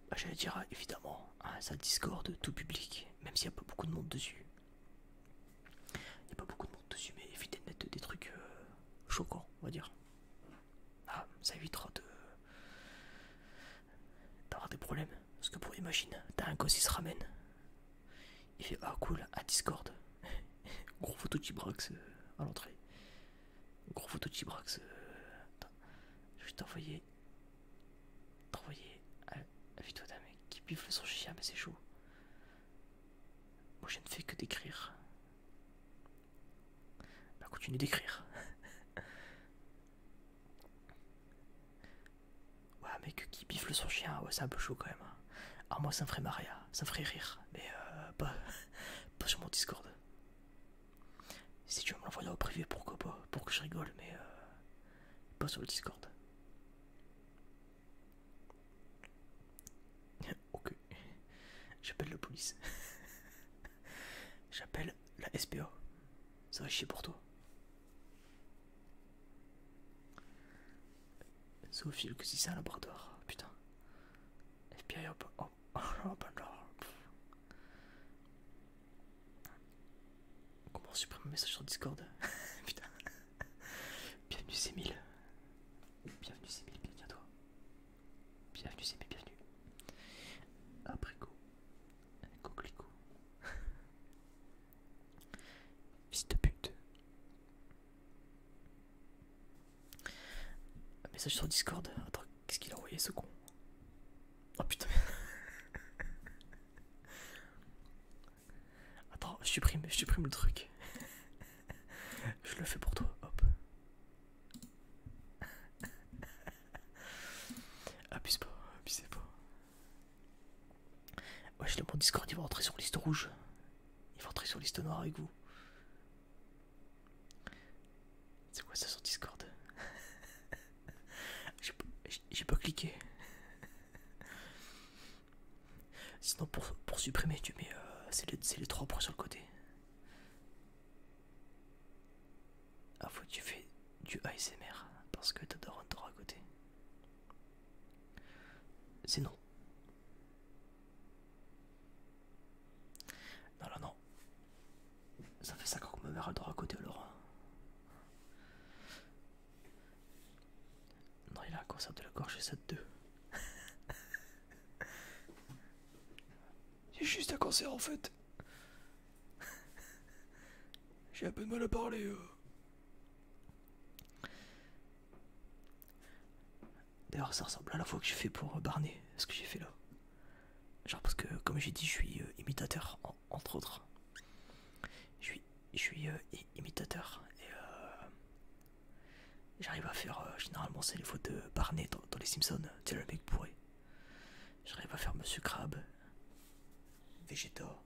S1: Bah, j'allais dire, évidemment, hein, ça Discord tout public, même s'il y a pas beaucoup de monde dessus. Il n'y a pas beaucoup de monde dessus, mais évitez de mettre des trucs euh, choquants, on va dire. Ah, ça évitera de d'avoir des problèmes. Parce que pour imagine, t'as un gosse qui se ramène. Il fait ah cool à Discord. <laughs> Gros photo de Gibrax euh, à l'entrée. Gros photo de brax euh, Je vais t'envoyer. T'envoyer. Ah, Vite toi d'un mec qui pifle son chien mais c'est chaud. Moi je ne fais que d'écrire. Bah continue d'écrire. <laughs> ouais mec qui biffe son chien, ouais c'est un peu chaud quand même. Hein. Alors ah, moi ça me ferait maria hein. ça me ferait rire, mais euh, <laughs> pas, sur mon Discord. Si tu veux me l'envoyer au privé, pourquoi pas, pour que je rigole, mais euh, pas sur le Discord ok j'appelle la police j'appelle la SPO. ça va chier pour toi Sophie que si c'est un laboratoire putain FBI hop hop hop Comment supprimer un message sur Discord <laughs> Putain <laughs> bienvenue mille Bienvenue mille bienvenue à toi. Bienvenue Sémile, bienvenue. Après Un Coquelicot. <laughs> Fils de pute. Un message sur Discord. Attends, qu'est-ce qu'il a envoyé ce con Oh putain. <laughs> Attends, je supprime, je supprime le truc. je le fais pour toi, hop. Abuse pas, abusez pas. Ouais, je le mon Discord, il va rentrer sur liste rouge. Il va rentrer sur liste noire avec vous. C'est quoi ça sur Discord <laughs> J'ai pas cliqué. Sinon, pour, supprimer, tu mets. Euh, c'est les, trois points sur le côté. Ah, faut que tu fais du ASMR parce que le droit à côté. C'est non. Non, non, non. Ça fait ça ans que me mère le droit à côté, alors. Hein. Non, il a un cancer de la gorge et de 2 J'ai juste un cancer en fait. J'ai un peu de mal à parler. Euh. D'ailleurs, ça ressemble à la fois que j'ai fait pour euh, Barney, ce que j'ai fait là. Genre parce que, comme j'ai dit, je suis euh, imitateur, entre autres. Je suis je suis euh, imitateur et euh, j'arrive à faire euh, généralement c'est les fautes de Barney dans, les Simpsons, c'est le mec J'arrive à faire Monsieur crabe, Vegeta.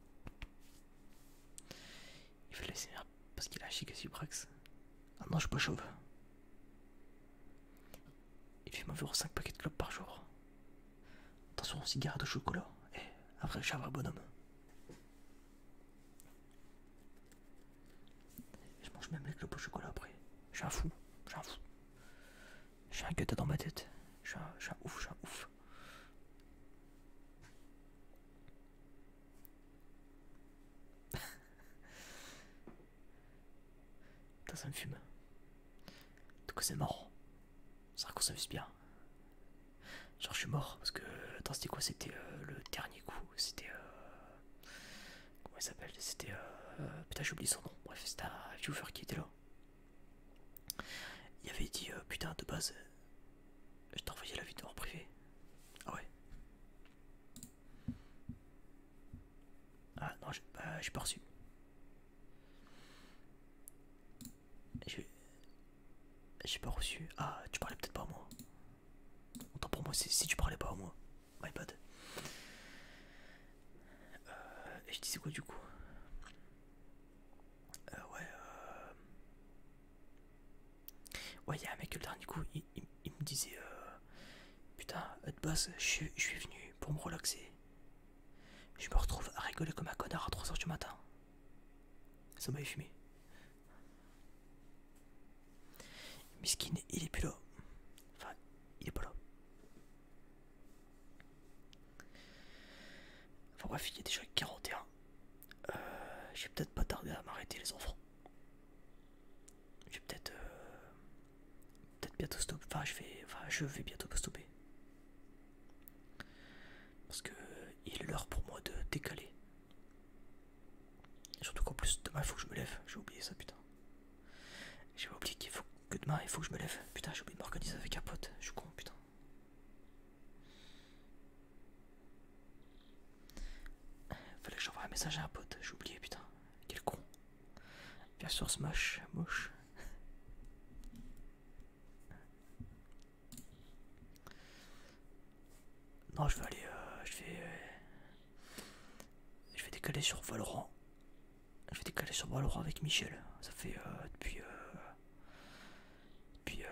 S1: Il fait laisser parce qu'il a chic Suprax. Ah non, je suis pas chauve. Il fait environ 5 paquets de clopes par jour. Attention aux cigare de chocolat. Et après, je suis un vrai bonhomme. Je mange même avec le pot chocolat après. Je suis un fou, je un fou. J'ai un gâteau dans ma tête. Je suis un, ouf, je un ouf. <laughs> Putain, ça me fume. En tout cas, c'est marrant. Ça s'amuse bien. Genre, je suis mort parce que. Attends, c'était quoi C'était euh, le dernier coup. C'était. Euh, comment il s'appelle C'était. Euh, putain Putain, oublié son nom. Bref, c'était un viewer qui était là. Il avait dit Putain, de base, je t'envoyais la vidéo en privé. Ah ouais Ah non, j'ai bah, pas reçu. J'ai pas reçu. Ah, tu parlais peut-être pas à moi. Autant pour moi, si tu parlais pas, moi. My bad. Euh, et je disais quoi du coup euh, Ouais, euh... Ouais, il y a un mec, le dernier coup, il, me disait euh, Putain, de base, je, je suis venu pour me relaxer. Je me retrouve à rigoler comme un connard à 3h du matin. Ça m'avait fumé. Miskin, il est plus là. Enfin, il est pas là. Enfin bref, il est déjà 41. Euh, je vais peut-être pas tarder à m'arrêter les enfants. Je vais peut-être... Euh, peut-être bientôt stopper. Enfin je, vais, enfin, je vais bientôt stopper. Parce que il est l'heure pour moi de décaler. Surtout qu'en plus, demain, il faut que je me lève. J'ai oublié ça, putain. J'ai oublié qu'il faut que demain, il faut que je me lève. Putain, j'ai oublié de m'organiser avec un pote. Je suis con, putain. Fallait que j'envoie un message à un pote. J'ai oublié, putain. Quel con. Bien sûr, Smash, moche. Non, je vais aller. Euh, je vais. Euh, je vais décaler sur Valorant. Je vais décaler sur Valorant avec Michel. Ça fait euh, depuis. depuis.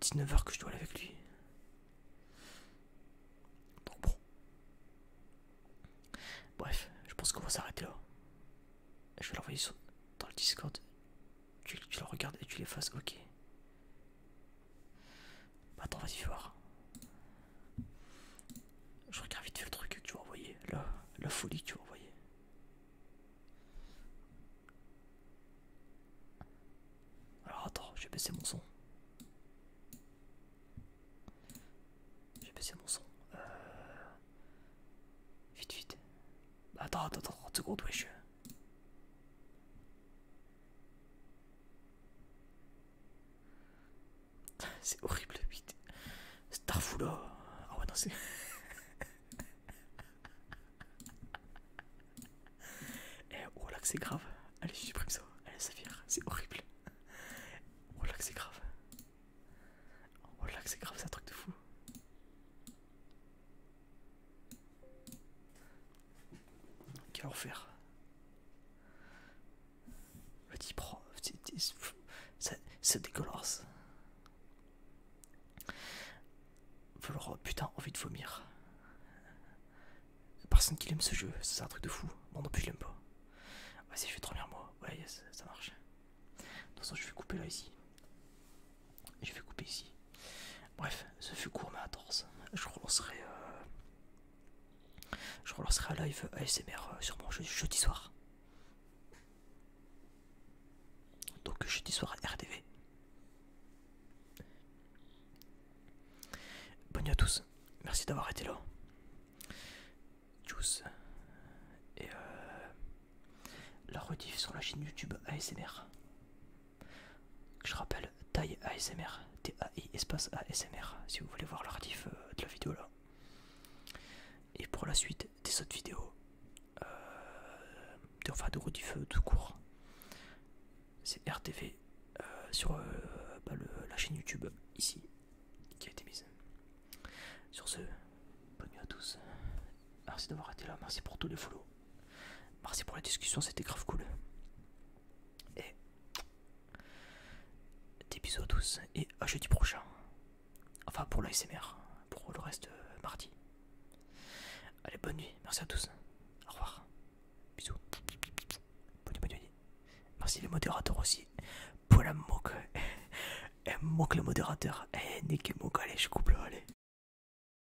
S1: 19h que je dois aller avec lui. Donc bon. Bref, je pense qu'on va s'arrêter là. Je vais l'envoyer dans le Discord. Tu, le regardes et tu l'effaces, ok. Attends, vas-y, voir. Je regarde vite fait le truc que tu vas envoyer, la, folie que tu vas envoyer. Alors attends, j'ai baissé mon son. J'ai baissé mon son. Euh, vite, vite. Attends, attends, attends, 30 secondes, wesh. C'est horrible, 8. oh Ah ouais, non, c'est. <laughs> Eh, oh là c'est grave. Allez, je supprime ça. Allez, ça vire. C'est horrible. oh c'est grave. oh que c'est grave, c'est un truc de fou. Quel enfer. Le petit prof, c'est dégueulasse. Putain, envie de vomir. Personne qui l'aime ce jeu, c'est un truc de fou. Moi non plus, je l'aime pas. Vas-y, je vais dormir moi. Ouais, ça marche. De toute façon, je vais couper là ici. Je vais couper ici. Bref, ce fut court mais intense. Je relancerai, euh, je relancerai un live ASMR euh, sur mon jeudi soir. Donc jeudi soir à Bonne nuit à tous. Merci d'avoir été là. Tchuss. Et euh, la rediff sur la chaîne YouTube ASMR. Je rappelle, taille ASMR, E espace ASMR, si vous voulez voir l'artif euh, de la vidéo là. Et pour la suite des autres vidéos, euh, de, enfin de rediff euh, tout court, c'est RTV sur bah, la chaîne YouTube ici qui a été mise. Sur ce, bonne nuit à tous Merci d'avoir été là, merci pour tous les follow. Merci pour la discussion, c'était grave cool. Et des bisous à tous et à jeudi prochain. Enfin pour l'ASMR, pour le reste euh, mardi. Allez, bonne nuit, merci à tous. Au revoir. Bisous. Bonne nuit, bonne nuit. Merci les modérateurs aussi. Pour la moque. <laughs> Elle moque les modérateurs. Eh, moque, allez, je coupe là, allez.